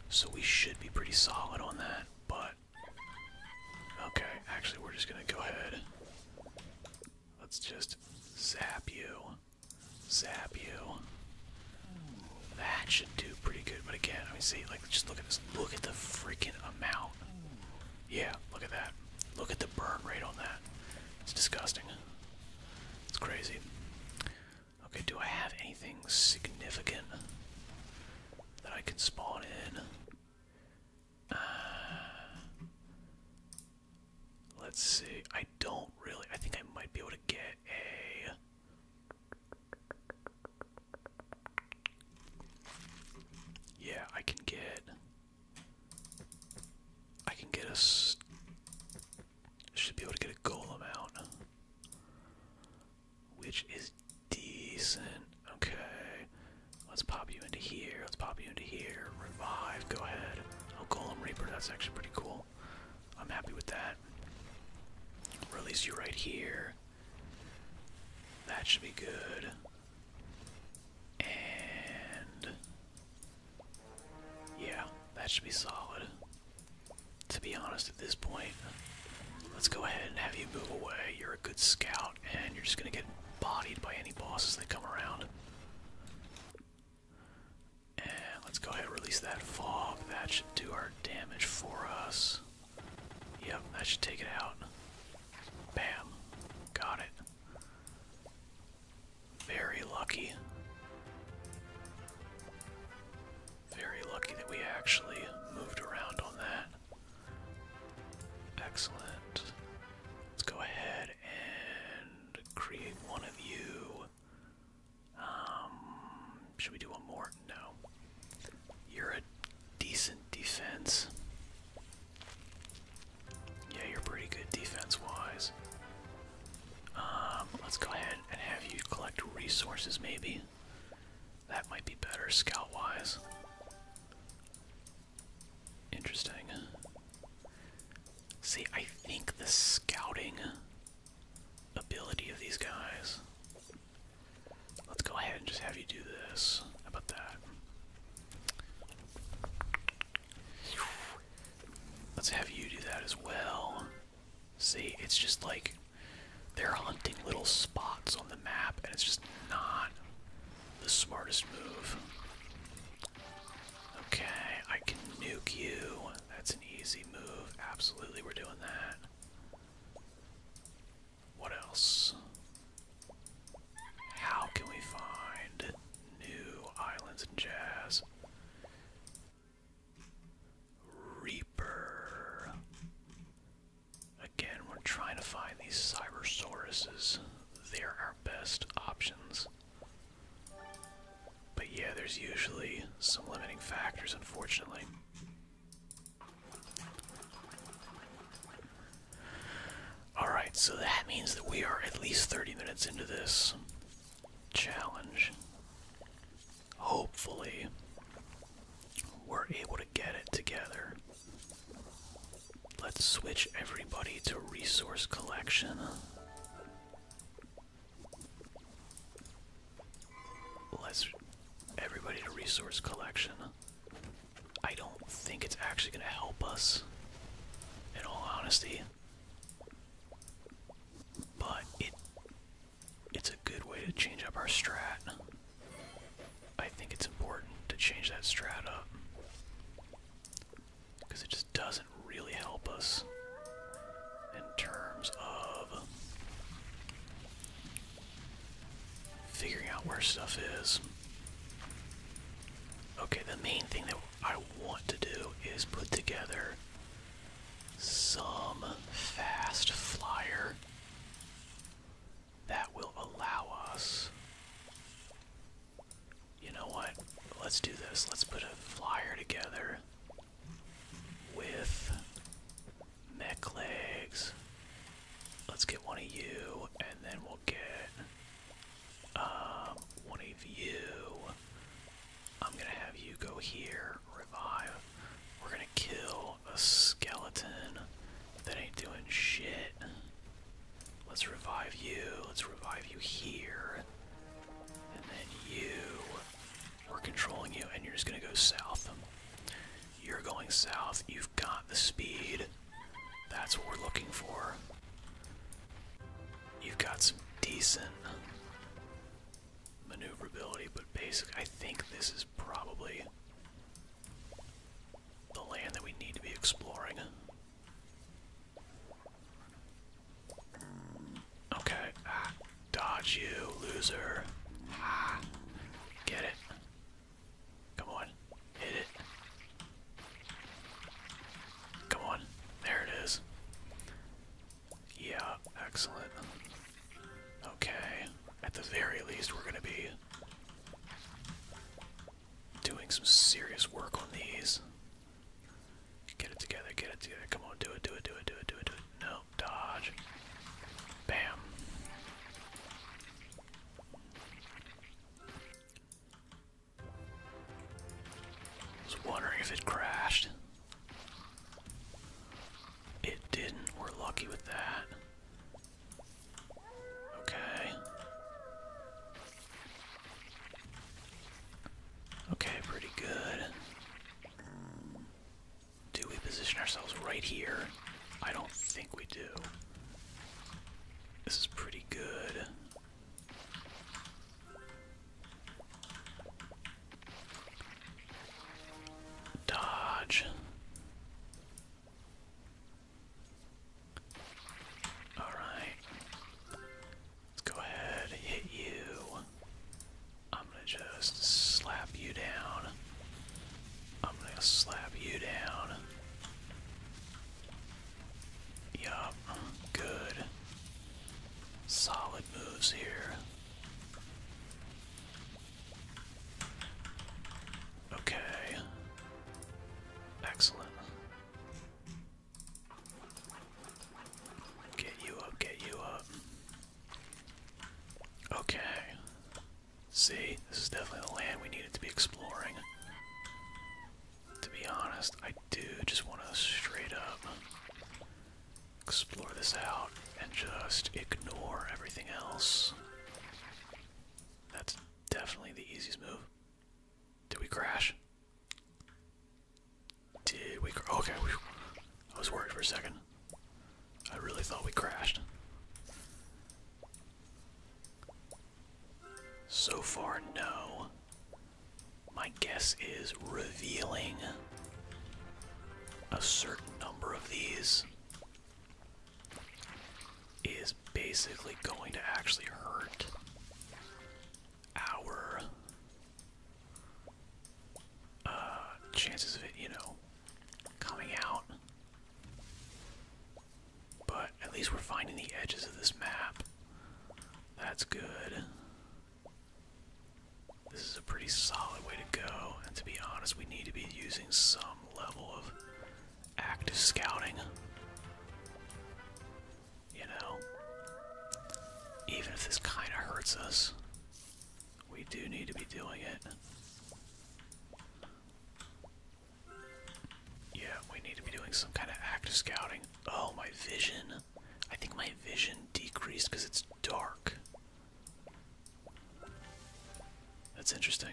So we should be pretty solid on that, but. Okay, actually, we're just gonna go ahead. Let's just zap you. Zap you. That should do pretty good, but again, I mean, see, like, just look at this. Look at the freaking amount. Yeah, look at that. Look at the burn rate on that. It's disgusting. It's crazy. Okay, do I have anything significant that I can spawn in? Uh, let's see. I don't really. I think I might be able to get a. Yeah, I can get. I can get us. Should be able to get a golem out, which is decent. Okay, let's pop you into here. Let's pop you into here. Revive. Go ahead. Oh, golem reaper. That's actually pretty cool. I'm happy with that. Release you right here. That should be good. And yeah, that should be solid. To be honest, at this point, let's go ahead and have you move away. You're a good scout, and you're just gonna get bodied by any bosses that come around. And let's go ahead and release that fog. That should do our damage for us. Yep, that should take it out. Bam. Got it. Very lucky. Very lucky that we actually moved around on that. Excellent. Let's go ahead and create one of you. Um, should we do one more? No. You're a decent defense. Yeah, you're pretty good defense-wise. Um, let's go ahead and have you collect resources, maybe. That might be better scout-wise. Interesting. See, I think the scouting ability of these guys. Let's go ahead and just have you do this. How about that? Let's have you do that as well. See, it's just like they're hunting little spots on the map, and it's just not the smartest move. Okay, I can nuke you. That's an easy move. Absolutely, we're doing that. What else? How can we find New Islands and Jazz. Reaper. Again, we're trying to find these Cybersauruses. They're our best options. But yeah, there's usually some limiting factors, unfortunately. Alright, so that means that we are at least 30 minutes into this challenge, hopefully, we're able to get it together. Let's switch everybody to resource collection. Let's everybody to resource collection. I don't think it's actually going to help us, in all honesty. But it it's a good way to change up our strat. I think it's important to change that strat up. Because it just doesn't really help us in terms of figuring out where stuff is. Okay, the main thing that I want to do is put together some fast flyer that will allow us. You know what? Let's do this. Let's put a flyer together with mech legs. Let's get one of you, and then we'll get um, one of you. I'm gonna have you go here, revive. We're gonna kill a skeleton that ain't doing shit. Let's revive you. Let's revive you here. And then you. We're controlling you, and you're just gonna go south. You're going south. You've got the speed. That's what we're looking for. You've got some decent maneuverability, but basic. I think this is probably the land that we need to be exploring. Okay. Ah, dodge you, loser. get it. Come on. Hit it. Come on. There it is. Yeah, excellent. Okay. At the very least, we're going to be doing some serious work on these. Get it together, get it together. Come on, do it, do it, do it, do it, do it, do it. No, dodge. Bam was wondering if it crashed. It didn't. We're lucky with that. Okay. Okay, pretty good. Do we position ourselves right here? I don't think we do. This is pretty good. Dodge. All right. Let's go ahead hit you. I'm going to just slap you down. I'm going to slap you down. Yup, good. Solid moves here. Okay. Excellent. Get you up, get you up. Okay. See, this is definitely the land we needed to be exploring. To be honest, I do just want to straight up explore this out and just ignore everything else. That's definitely the easiest move. Did we crash? Did we Okay, I was worried for a second. I really thought we crashed. So far, no my guess is revealing a certain number of these is basically going to actually hurt our uh, chances of it, you know, coming out. But at least we're finding the edges of this map. That's good. This is a pretty solid way to go, and to be honest, we need to be using some level of active scouting. You know? Even if this kind of hurts us, we do need to be doing it. Yeah, we need to be doing some kind of active scouting. Oh, my vision. I think my vision decreased because it's dark. That's interesting.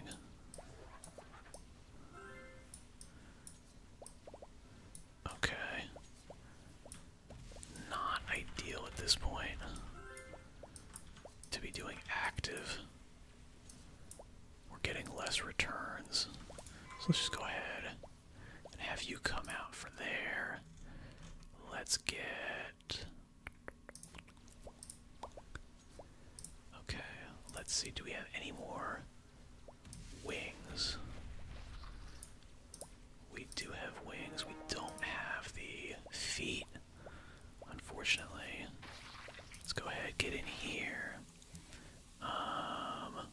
Okay. Not ideal at this point to be doing active. We're getting less returns. So let's just go ahead and have you come out from there. Let's get. Okay, let's see. Do we have any more wings? We do have wings. We don't have the feet, unfortunately. Let's go ahead, get in here. Um,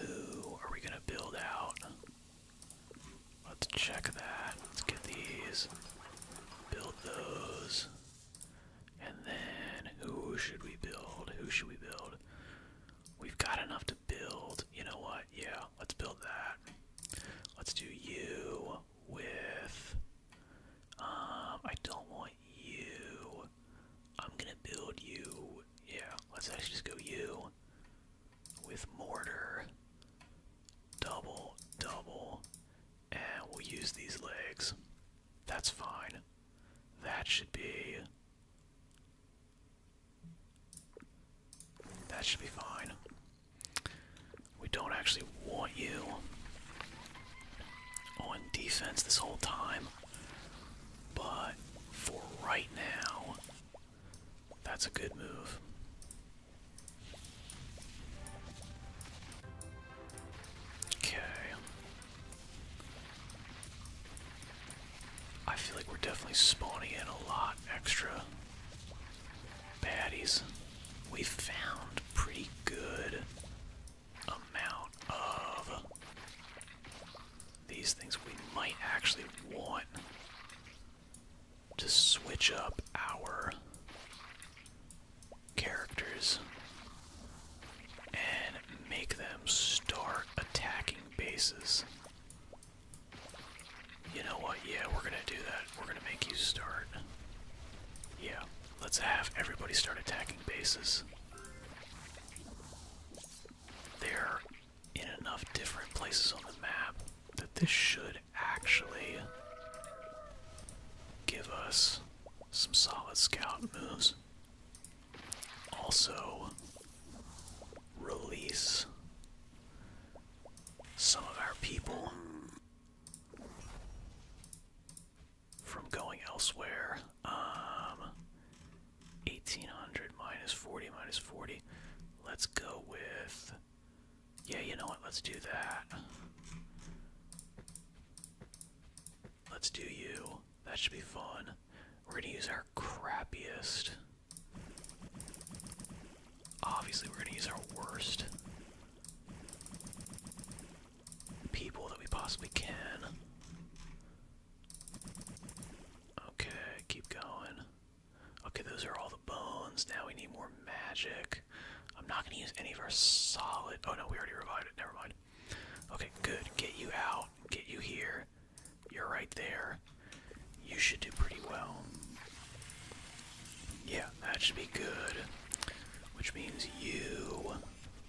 who are we gonna build out? Let's check that. Let's get these. Build those. And then who should we build? Who should we build? We've got enough to build. You know what? Yeah, let's build that. Let's do you with. Um, I don't want you. I'm gonna build you. Yeah, let's actually just go you with mortar. Double, double, and we'll use these legs. That's fine. That should be. That should be fine. We don't actually want you on defense this whole time. But for right now, that's a good move. Okay. I feel like we're definitely spawning a lot extra baddies. We found pretty good amount of these things we might actually want to switch up our characters and make them start attacking bases. You know what? Yeah, we're gonna do that. We're gonna make you start. Yeah, let's have everybody start attacking bases. They're in enough different places on the map that this should actually give us some solid scout moves. Also, release some of our people from going elsewhere um, 1800 minus 40 minus 40. Let's go with. Yeah, you know what? Let's do that. Let's do you. That should be fun. We're gonna use our crappiest. Obviously, we're gonna use our worst people that we possibly can. Okay, keep going. Okay, those are all the bones. Now we need more magic. I'm not gonna use any of our solid. Oh no, we already revived it. Never mind. Okay, good. Get you out. Get you here. You're right there. You should do pretty well. Yeah, that should be good. Which means you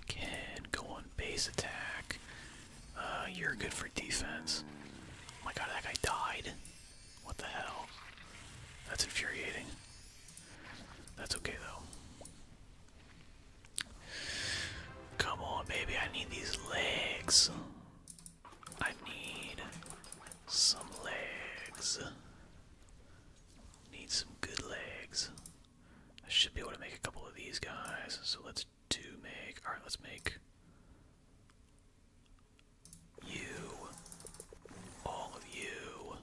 can go on base attack. Uh, you're good for defense. Oh my god, that guy died. What the hell? That's infuriating. That's okay though. Come on, baby, I need these legs. I need some legs. Need some good legs. I should be able to make a couple of these guys, so let's to make. Alright, let's make you, all of you,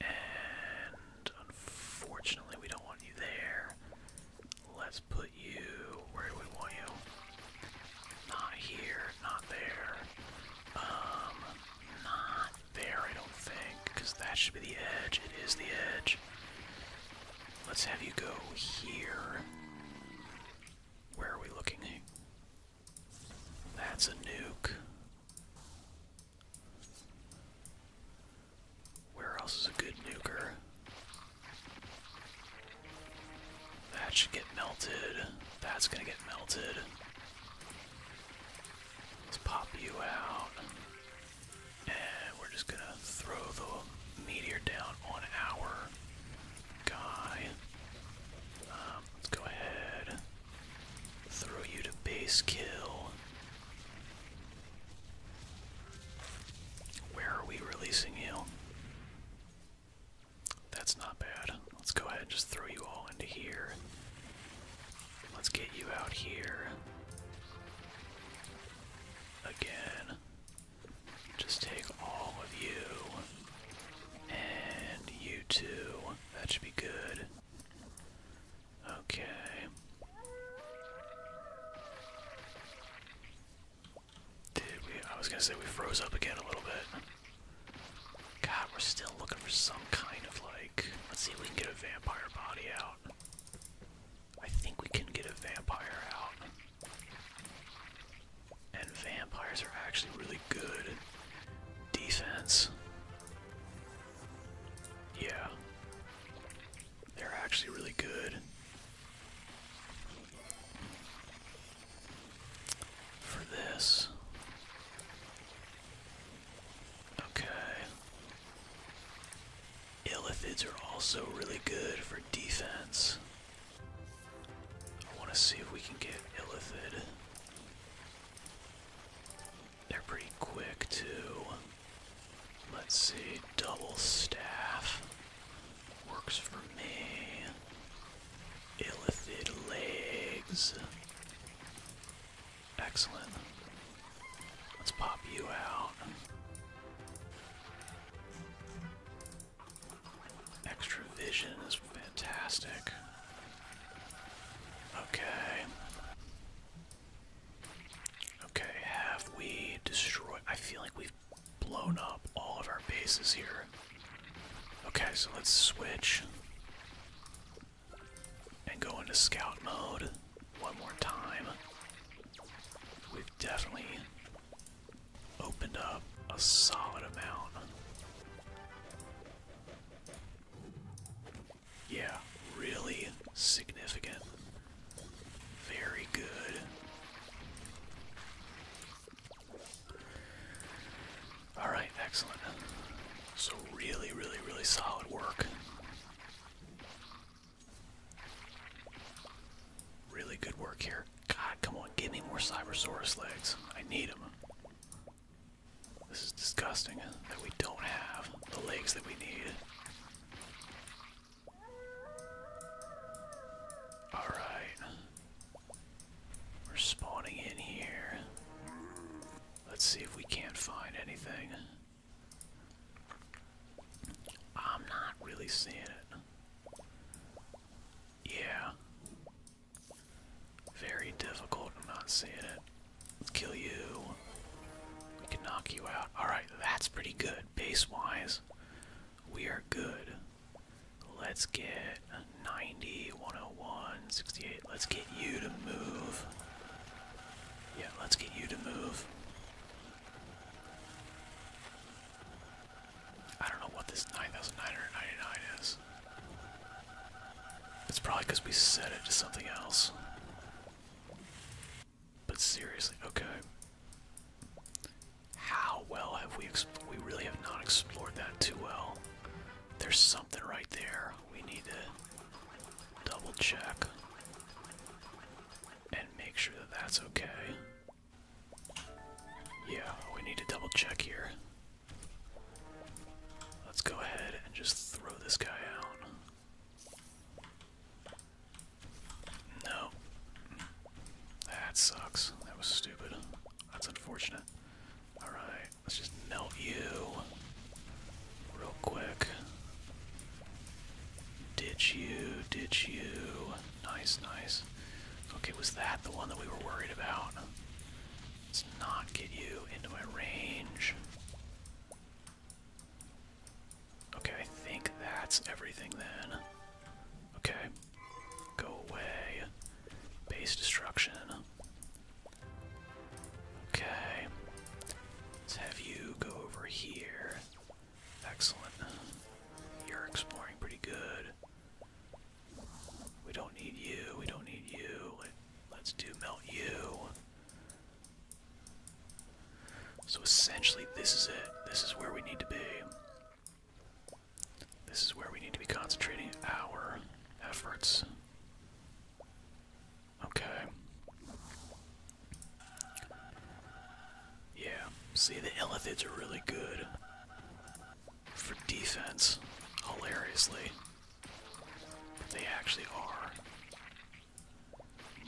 and unfortunately, we don't want you there. Let's put you. Where we want you? Not here, not there. Um, not there, I don't think, because that should be the edge. It is the edge. Let's have you go here. Where are we looking? That's a nuke. Where else is a good nuker? That should get melted. That's gonna get melted. Let's pop you out. And we're just gonna throw the meteor down on our guy. Um, let's go ahead. Throw you to base kill. Where are we releasing you? That's not bad. Let's go ahead and just throw you all into here. Let's get you out here again. Just take all of you. And you too. That should be good. Okay. Did we? I was gonna say we froze up again a little bit. God, we're still looking for some kind of like. Let's see if we can get a vampire body out. I think we can get a vampire out. And vampires are actually really good defense. Yeah. They're actually really good. For this. Okay. Illithids are also really good for defense. I want to see if we can get Illithid. They're pretty quick too. Let's see, double staff works for me. Illithid legs. Excellent. Let's pop you out. Extra vision is fantastic. Okay. Okay, have we destroyed? I feel like we've blown up all of our bases here. Okay, so let's switch and go into scout mode one more time. We've definitely opened up a solid amount. Yeah, really significant. Very good. Alright, excellent. So, really, really, really solid work. Really good work here. God, come on, give me more Cybersaurus legs. I need them. This is disgusting that we don't have the legs that we need. Alright. We're spawning in here. Let's see if we can't find anything. I'm not really seeing it. Yeah. Very difficult. I'm not seeing it. kill you. We can knock you out. Alright, that's pretty good. Base wise, we are good. Let's get 90, 101, Let's get you to move. Yeah, let's get you to move. I don't know what this 9,999 is. It's probably because we set it to something else. But seriously, okay. How well have we we really have not explored that too well. There's something right there. We need to double check and make sure that that's okay. Yeah, we need to double check here. Let's go ahead and just throw this guy out. No. That sucks. That was stupid. That's unfortunate. Alright, let's just melt you real quick. Ditch you, ditch you. Nice, nice. Okay, was that the one that we were worried about? Let's not get you into my range. Okay, I think that's everything then. Okay. Go away. Base destruction. Okay. Let's have you go over here. Excellent. You're exploring pretty good. We don't need you. We don't need you. Let's do melt you. So essentially, this is it. This is where we need to be. This is where we need to be concentrating our efforts. Okay. Yeah, see, the Illithids are really good for defense, hilariously. They actually are.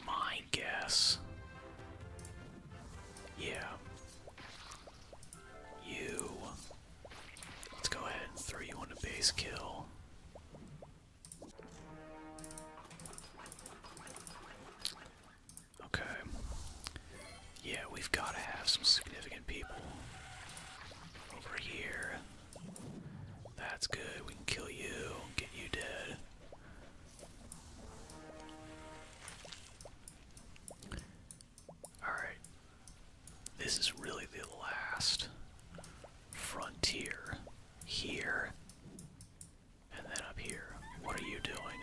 My guess. Yeah. You. Let's go ahead and throw you on a base kill. Okay. Yeah, we've got to have some significant people over here. That's good. We can kill you, get you dead. Alright. This is really the last frontier here. And then up here, what are you doing?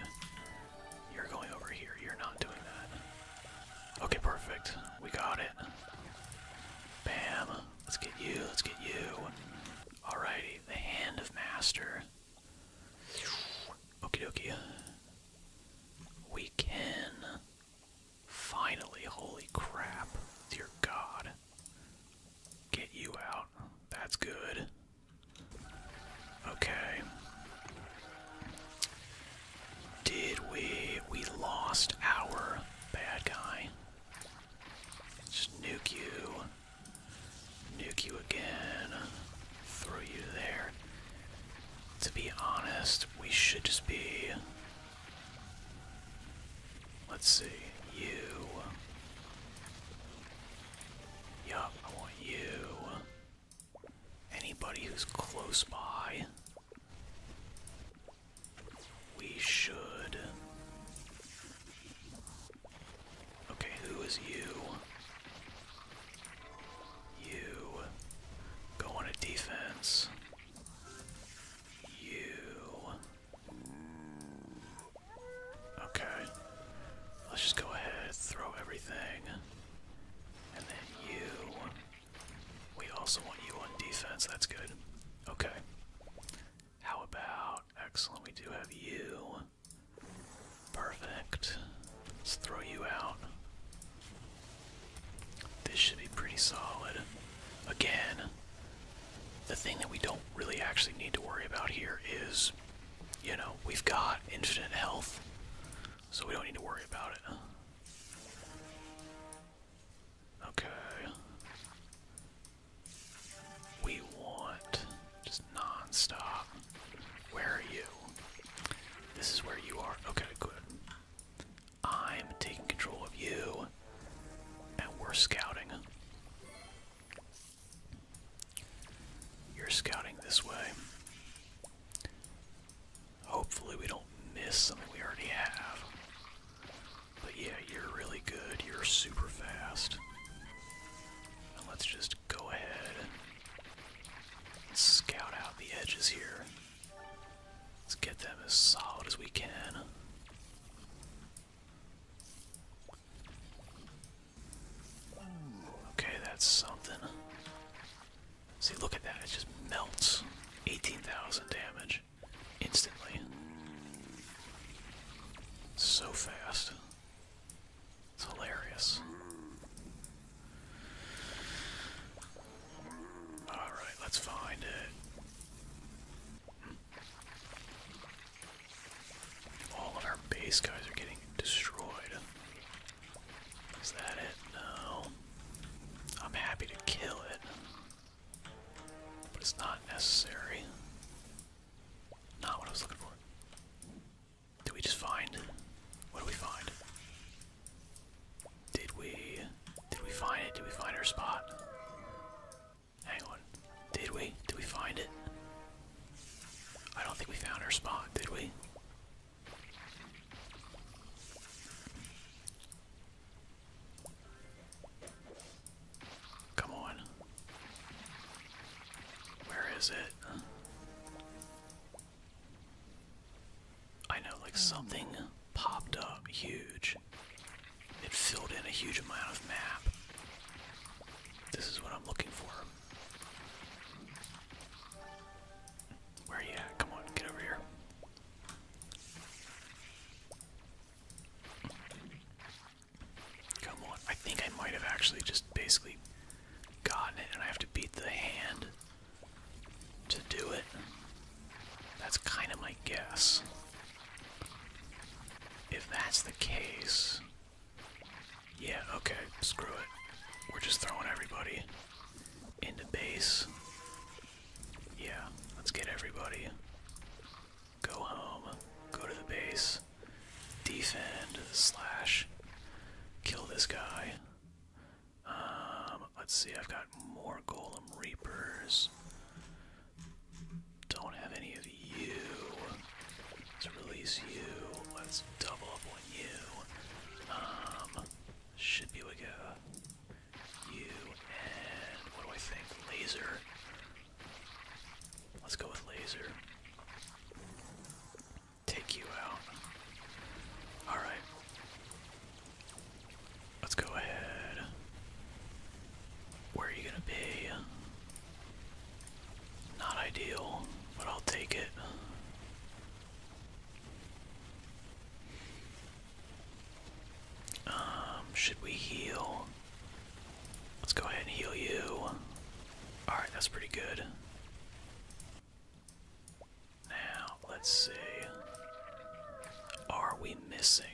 You're going over here. You're not doing that. Okay, perfect. We got it. Bam. Let's get you. Let's get you. Alrighty. The Hand of Master. Okie dokie. We can. Finally. Holy crap. Dear God. Get you out. That's good. Okay. Did we we lost our bad guy? Just nuke you. Nuke you again. Throw you there. To be honest, we should just be Let's see. You Yup, I want you. Anybody who's close by. We should. Okay, who is you? You. Go on a defense. You. Okay. Let's just go ahead, throw everything. And then you. We also want you on defense, that's good. Okay. How about. Excellent, we do have you. Perfect. Let's throw you out. This should be pretty solid. Again, the thing that we don't really actually need to worry about here is you know, we've got infinite health, so we don't need to worry about it. Okay. We want just non Where are you? This is where you are. Okay, good. I'm taking control of you, and we're scouting. You're scouting this way. Hopefully, we don't miss something we already have. But yeah, you're really good. You're super fast. let's just go ahead and scout out the edges here. Let's get them as solid as we can. Okay, that's something. See, look at that. It just melts. 18,000 damage. Instantly. So fast. It's hilarious. Alright, let's find it. All of our base guys are getting destroyed. Is that it? No. I'm happy to kill it, but it's not necessary. Not what I was looking for. Did we just find? What did we find? Did we? Did we find it? Did we find our spot? Hang on. Did we? Did we find it? I don't think we found our spot, did we? Come on. Where is it? I know, like, something popped up huge. It filled in a huge amount of map. This is what I'm looking for. Where are you at? Come on, get over here. Come on. I think I might have actually just basically gotten it, and I have to beat the hand to do it. That's kind of my guess. If that's the case, yeah, okay, screw it. We're just throwing everybody into base. Yeah, let's get everybody. Go home, go to the base, defend, slash, kill this guy. Um, let's see, I've got more Golem Reapers. Don't have any of you. Let's release you. Let's double up on you. Um, should be like go. you and what do I think? Laser. Let's go with laser. Take you out. All right. Let's go ahead. Where are you gonna be? Not ideal, but I'll take it. Um, should we heal? Let's go ahead and heal you. Alright, that's pretty good. Now, let's see. Are we missing?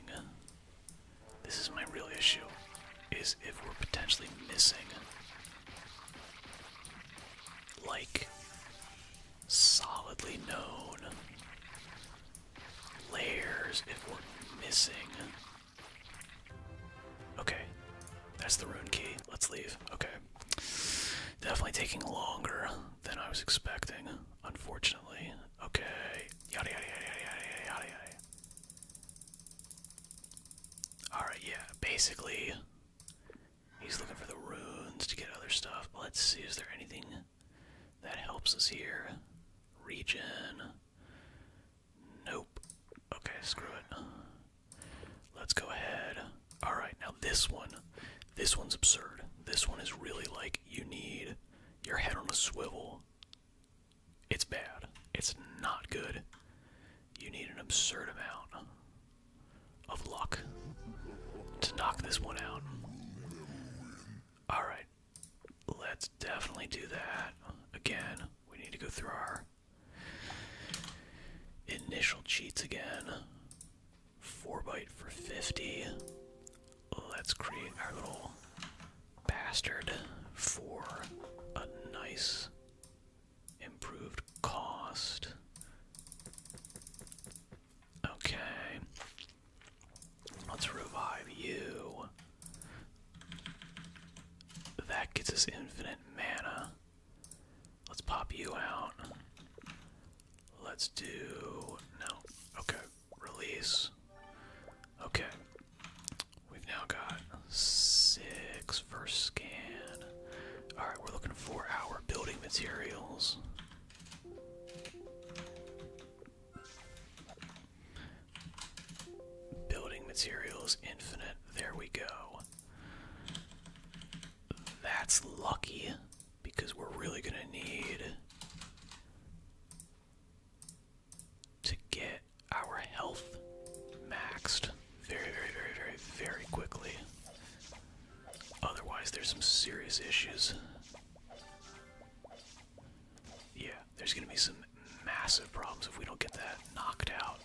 This is my real issue, is if we're potentially missing like solidly known layers if we're missing. Okay, that's the rune key. Let's leave. Okay. Definitely taking longer than I was expecting, unfortunately. Okay. Yada yada yada yada yada yada yada. Alright, yeah, basically, he's looking for the runes to get other stuff. Let's see, is there anything that helps us here? Region. Nope. Okay, screw it. Let's go ahead. Alright, now this one. This one's absurd. This one is really like you need your head on a swivel it's bad. It's not good. You need an absurd amount of luck to knock this one out. Alright. Let's definitely do that. Again, we need to go through our initial cheats again. 4 byte for 50. Let's create our little bastard for a nice Improved cost. Okay. Let's revive you. That gets us infinite mana. Let's pop you out. Let's do. No. Okay. Release. Okay. We've now got six first scan. Alright, we're looking for our building materials. Building materials infinite. There we go. That's lucky because we're really going to need to get our health maxed very, very, very, very, very quickly. Otherwise, there's some serious issues. Yeah, there's gonna be some massive problems if we don't get that knocked out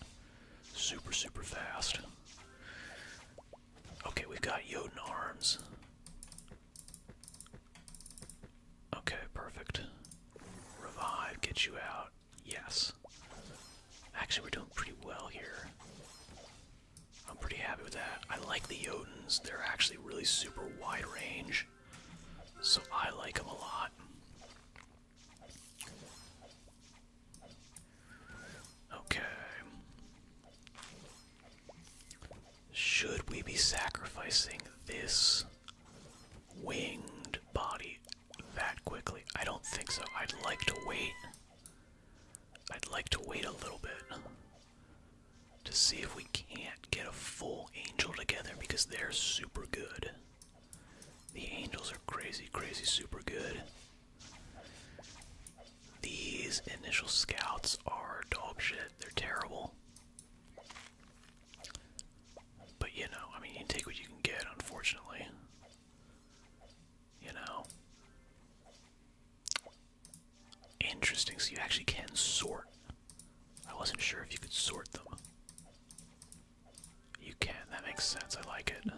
super, super fast. Okay, we've got Yoden arms. Okay, perfect. Revive, get you out. Yes. Actually, we're doing pretty well here. I'm pretty happy with that. I like the Yodens. They're actually really super wide range. So I like them a lot. Okay. Should we be sacrificing this winged body? that quickly. I don't think so. I'd like to wait. I'd like to wait a little bit to see if we can't get a full angel together because they're super good. The angels are crazy, crazy, super good. These initial scouts are dog shit. They're terrible. But you know, I mean, you take what you can get, unfortunately. You know. Interesting, so you actually can sort. I wasn't sure if you could sort them. You can, that makes sense, I like it.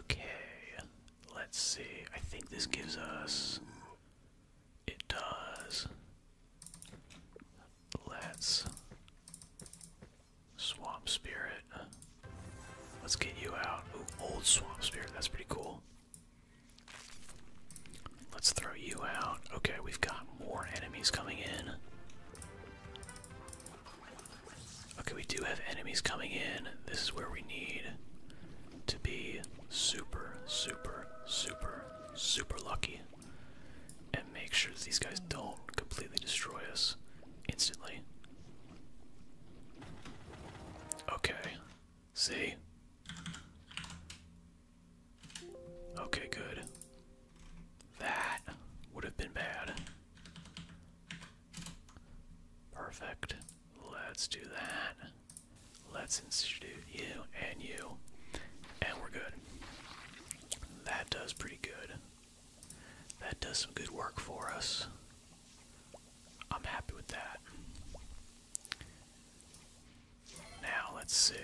Okay, let's see. I think this gives us. It does. Let's Swamp Spirit. Let's get you out. old Swamp Spirit, that's pretty cool. Let's throw you out. Okay, we've got more enemies coming in. Okay, we do have enemies coming in. This is where we need to be super, super, super, super lucky and make sure that these guys don't completely destroy us instantly. Okay. See? Okay, good. That would have been bad. Perfect. Let's do that. Let's institute you and you. And we're good. That does pretty good. That does some good work for us. I'm happy with that. Now, let's see.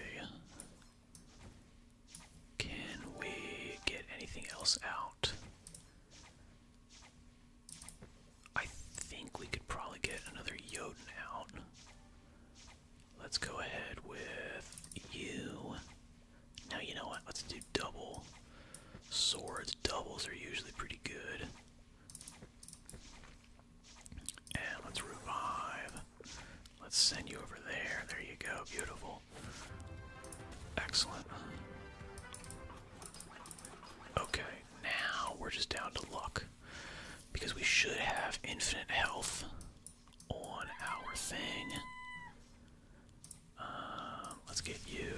Can we get anything else out? I think we could probably get another Jotun out. Let's go ahead with you. Now, you know what? Let's do double. Swords, doubles are usually pretty good. And let's revive. Let's send you over there. There you go. Beautiful. Excellent. Okay, now we're just down to luck. Because we should have infinite health on our thing. Uh, let's get you.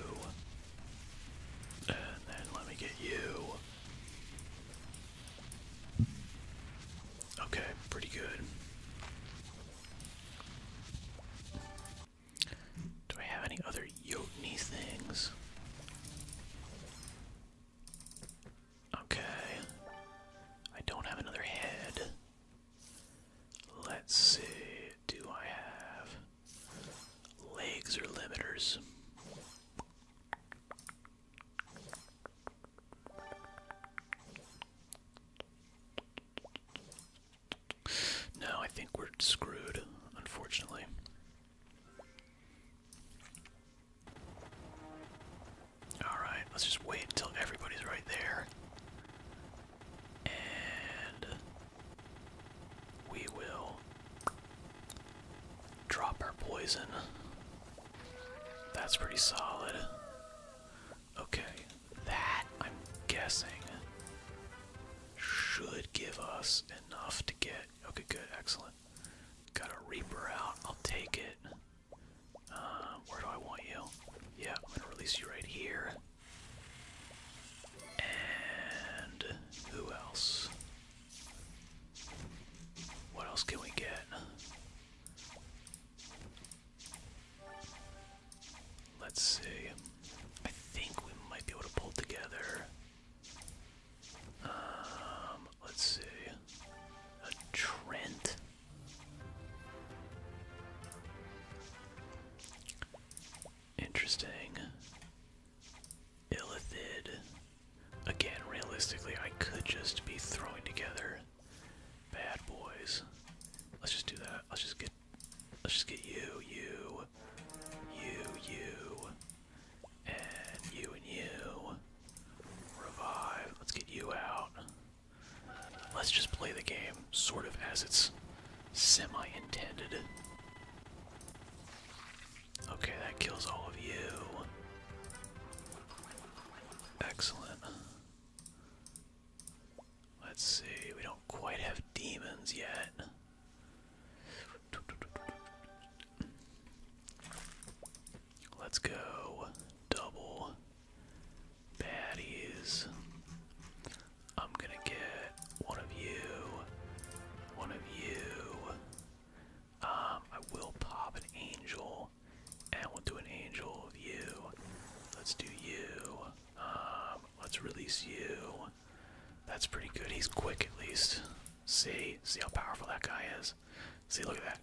And then let me get you. Okay, pretty good. Do I have any other Yotni things? Okay. I don't have another head. Let's see, do I have legs or limiters? No, I think we're screwed, unfortunately. Alright, let's just wait until everybody's right there. And we will drop our poison. That's pretty solid. Okay, that, I'm guessing, should give us enough to get. Okay, good, excellent. Got a Reaper out, I'll take it. Uh, where do I want you? Yeah, I'm gonna release you right here. And who else? What else can we get? Let's see. I think we might be able to pull together. Um, let's see. A Trent. Interesting. Illithid. Again, realistically, I could just be throwing together bad boys. Let's just do that. Let's just get let's just get you, you, you, you, and you and you. Revive. Let's get you out. Let's just play the game sort of as it's semi intended. Okay, that kills all of you. Excellent. Let's see, we don't quite have demons yet. Let's go double baddies. I'm gonna get one of you, one of you. Um, I will pop an angel, and we'll do an angel of you. Let's do you. Um, let's release you. That's pretty good. He's quick at least. See, see how powerful that guy is. See, look at that.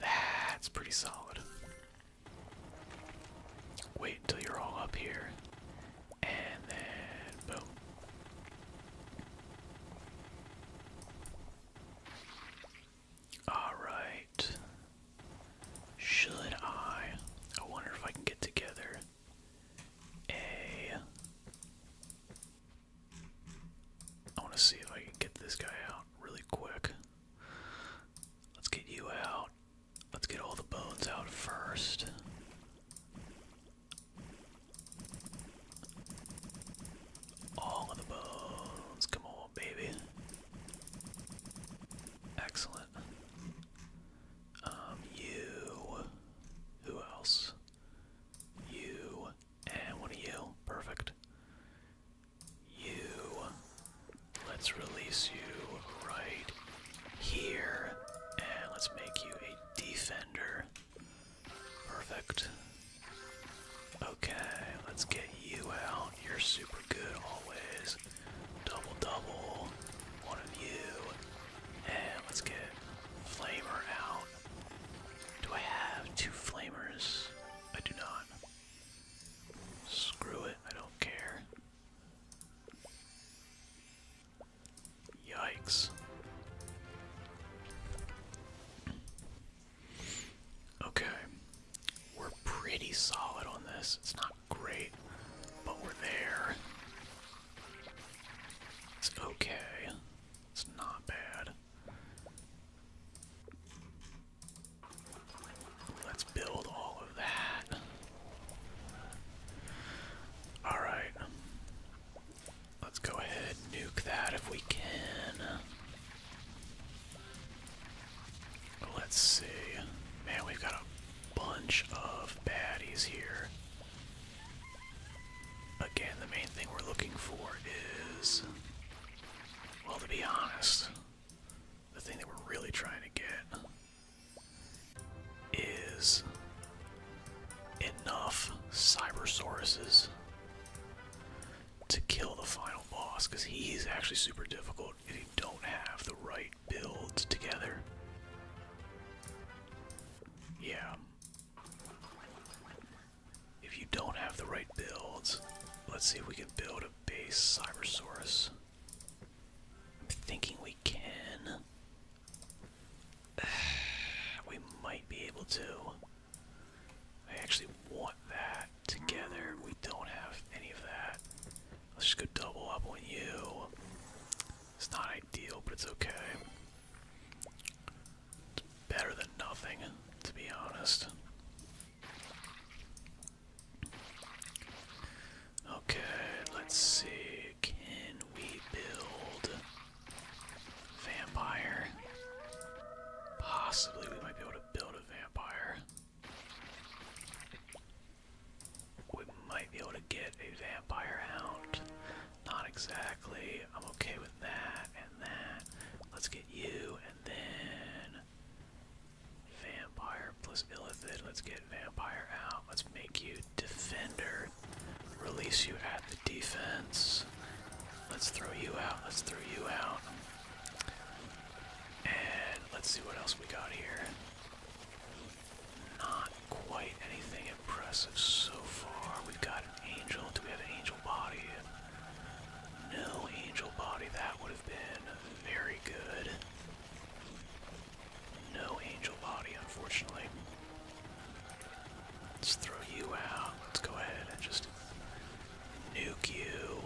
That's pretty solid. Wait until you're all up here, and then boom. Alright. Should I? I wonder if I can get together a. I want to see if I can get this guy out really quick. Let's get you out. Let's get all the bones out first. All of the bones. Come on, baby. Excellent. Um, you. Who else? You. And one of you. Perfect you. Let's release you right here. And let's make you a defender. Perfect. Okay, let's get you out. You're super good always. Double double. One of you. And let's get Flamer out. Do I have two Flammers? I do not. Screw it, I don't care. Yikes. Okay, we're pretty solid on this. It's not great, but we're there. It's okay. It's not bad. Let's build all of that. Alright. Let's go ahead and nuke that if we can. Let's see. Man, we've got a bunch of baddies here. Again, the main thing we're looking for is. Well, to be honest, the thing that we're really trying to get is enough Cyber Cybersauruses to kill the final boss, because he's actually super difficult if you don't have the right builds together. Yeah. If you don't have the right builds, let's see if we can build a base Cybersaurus. I'm thinking we can. we might be able to. I actually want that together. We don't have any of that. Let's just go double up on you. It's not ideal, but it's okay. It's better than nothing, to be honest. Okay, let's see. Can we build vampire? Possibly we might be able to build a vampire. We might be able to get a vampire out. Not exactly. I'm okay with that and that. Let's get you and then Vampire plus Illithid. Let's get Vampire out. Let's make you Defender. Release you at the defense. Let's throw you out. Let's throw you out. And let's see what else we got here. Not quite anything impressive so far. We've got an angel. Do we have an angel body? No angel body, that would have been very good. No angel body, unfortunately. Let's throw you out. Let's go ahead and just nuke you.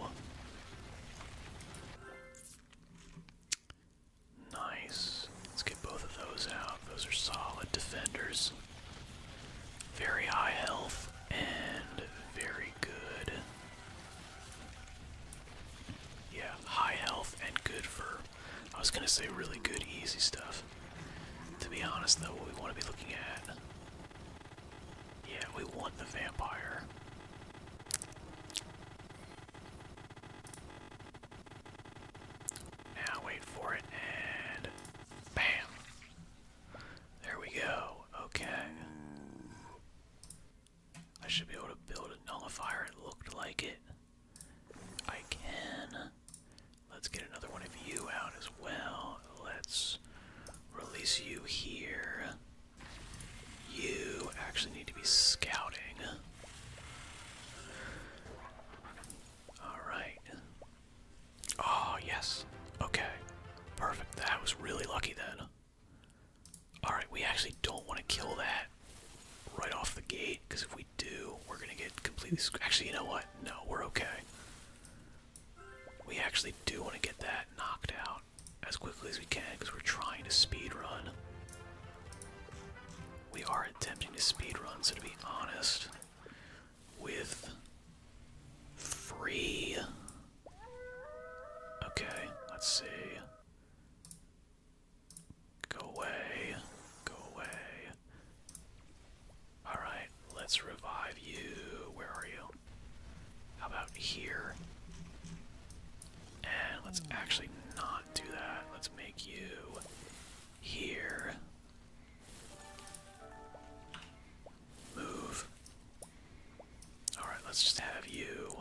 Nice. Let's get both of those out. Those are solid defenders. Very high health and very good yeah, high health and good for, I was gonna say really good easy stuff. To be honest though, what we wanna be looking at, yeah, we want the vampire. Now wait for it and bam. There we go. Okay. I should be able to build a nullifier. It looked like it. I can. Let's get another one of you out as well. Let's release you here. You actually need to be scouting. Alright. Oh, ah, yes. Okay. Perfect. That was really lucky then. Alright, we actually don't want to kill that right off the gate, because if we do, we're going to get completely Actually, you know what? No, we're okay. We actually do want to get that knocked out as quickly as we can, because we're trying to speed run. We are attempting to speed run, so to be honest, with free. Okay, let's see. Go away. Go away. Alright, let's revive you. Where are you? How about here? And let's actually not do that. Let's make you here. Move. Alright, let's just have you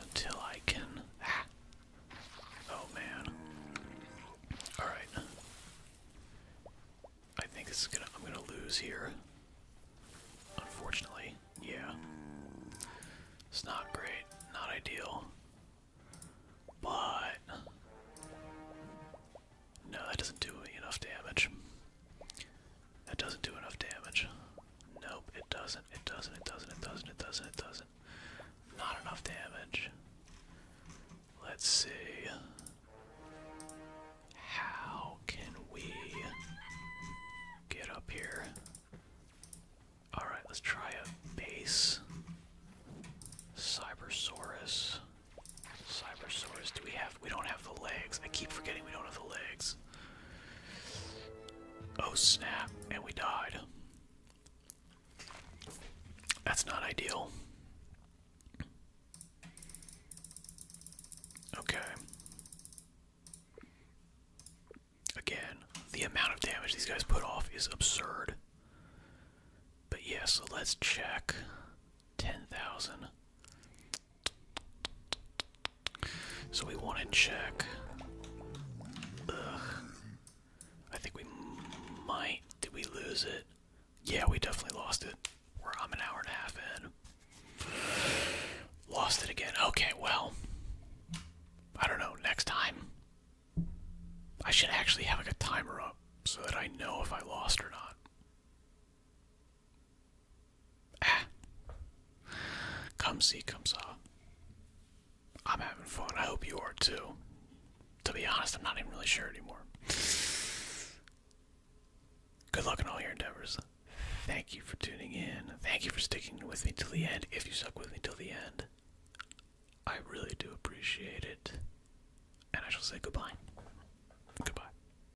until I can. Ah. Oh man. Alright. I think this is gonna. I'm gonna lose here. Unfortunately. Yeah. It's not great. Not ideal. But. No, that doesn't do enough damage. That doesn't do enough damage. Nope, it doesn't, it doesn't, it doesn't, it doesn't, it doesn't, it doesn't. Not enough damage. Let's see. How can we get up here? Alright, let's try a base. Cybersaurus. Cybersaurus, do we have? We don't have the legs. I keep forgetting we don't have the legs. Oh snap, and we died. That's not ideal. Okay. Again, the amount of damage these guys put off is absurd. But yeah, so let's check 10,000. So we want to check. I think we might. Did we lose it? Yeah, we definitely lost it. we I'm an hour and a half in. Lost it again. Okay, well. I don't know. Next time. I should actually have like a timer up so that I know if I lost or not. Ah. Come see, come saw. I'm having fun. I hope you are too. To be honest, I'm not even really sure anymore. Good luck in all your endeavors. Thank you for tuning in. Thank you for sticking with me till the end. If you stuck with me till the end, I really do appreciate it. And I shall say goodbye. Goodbye.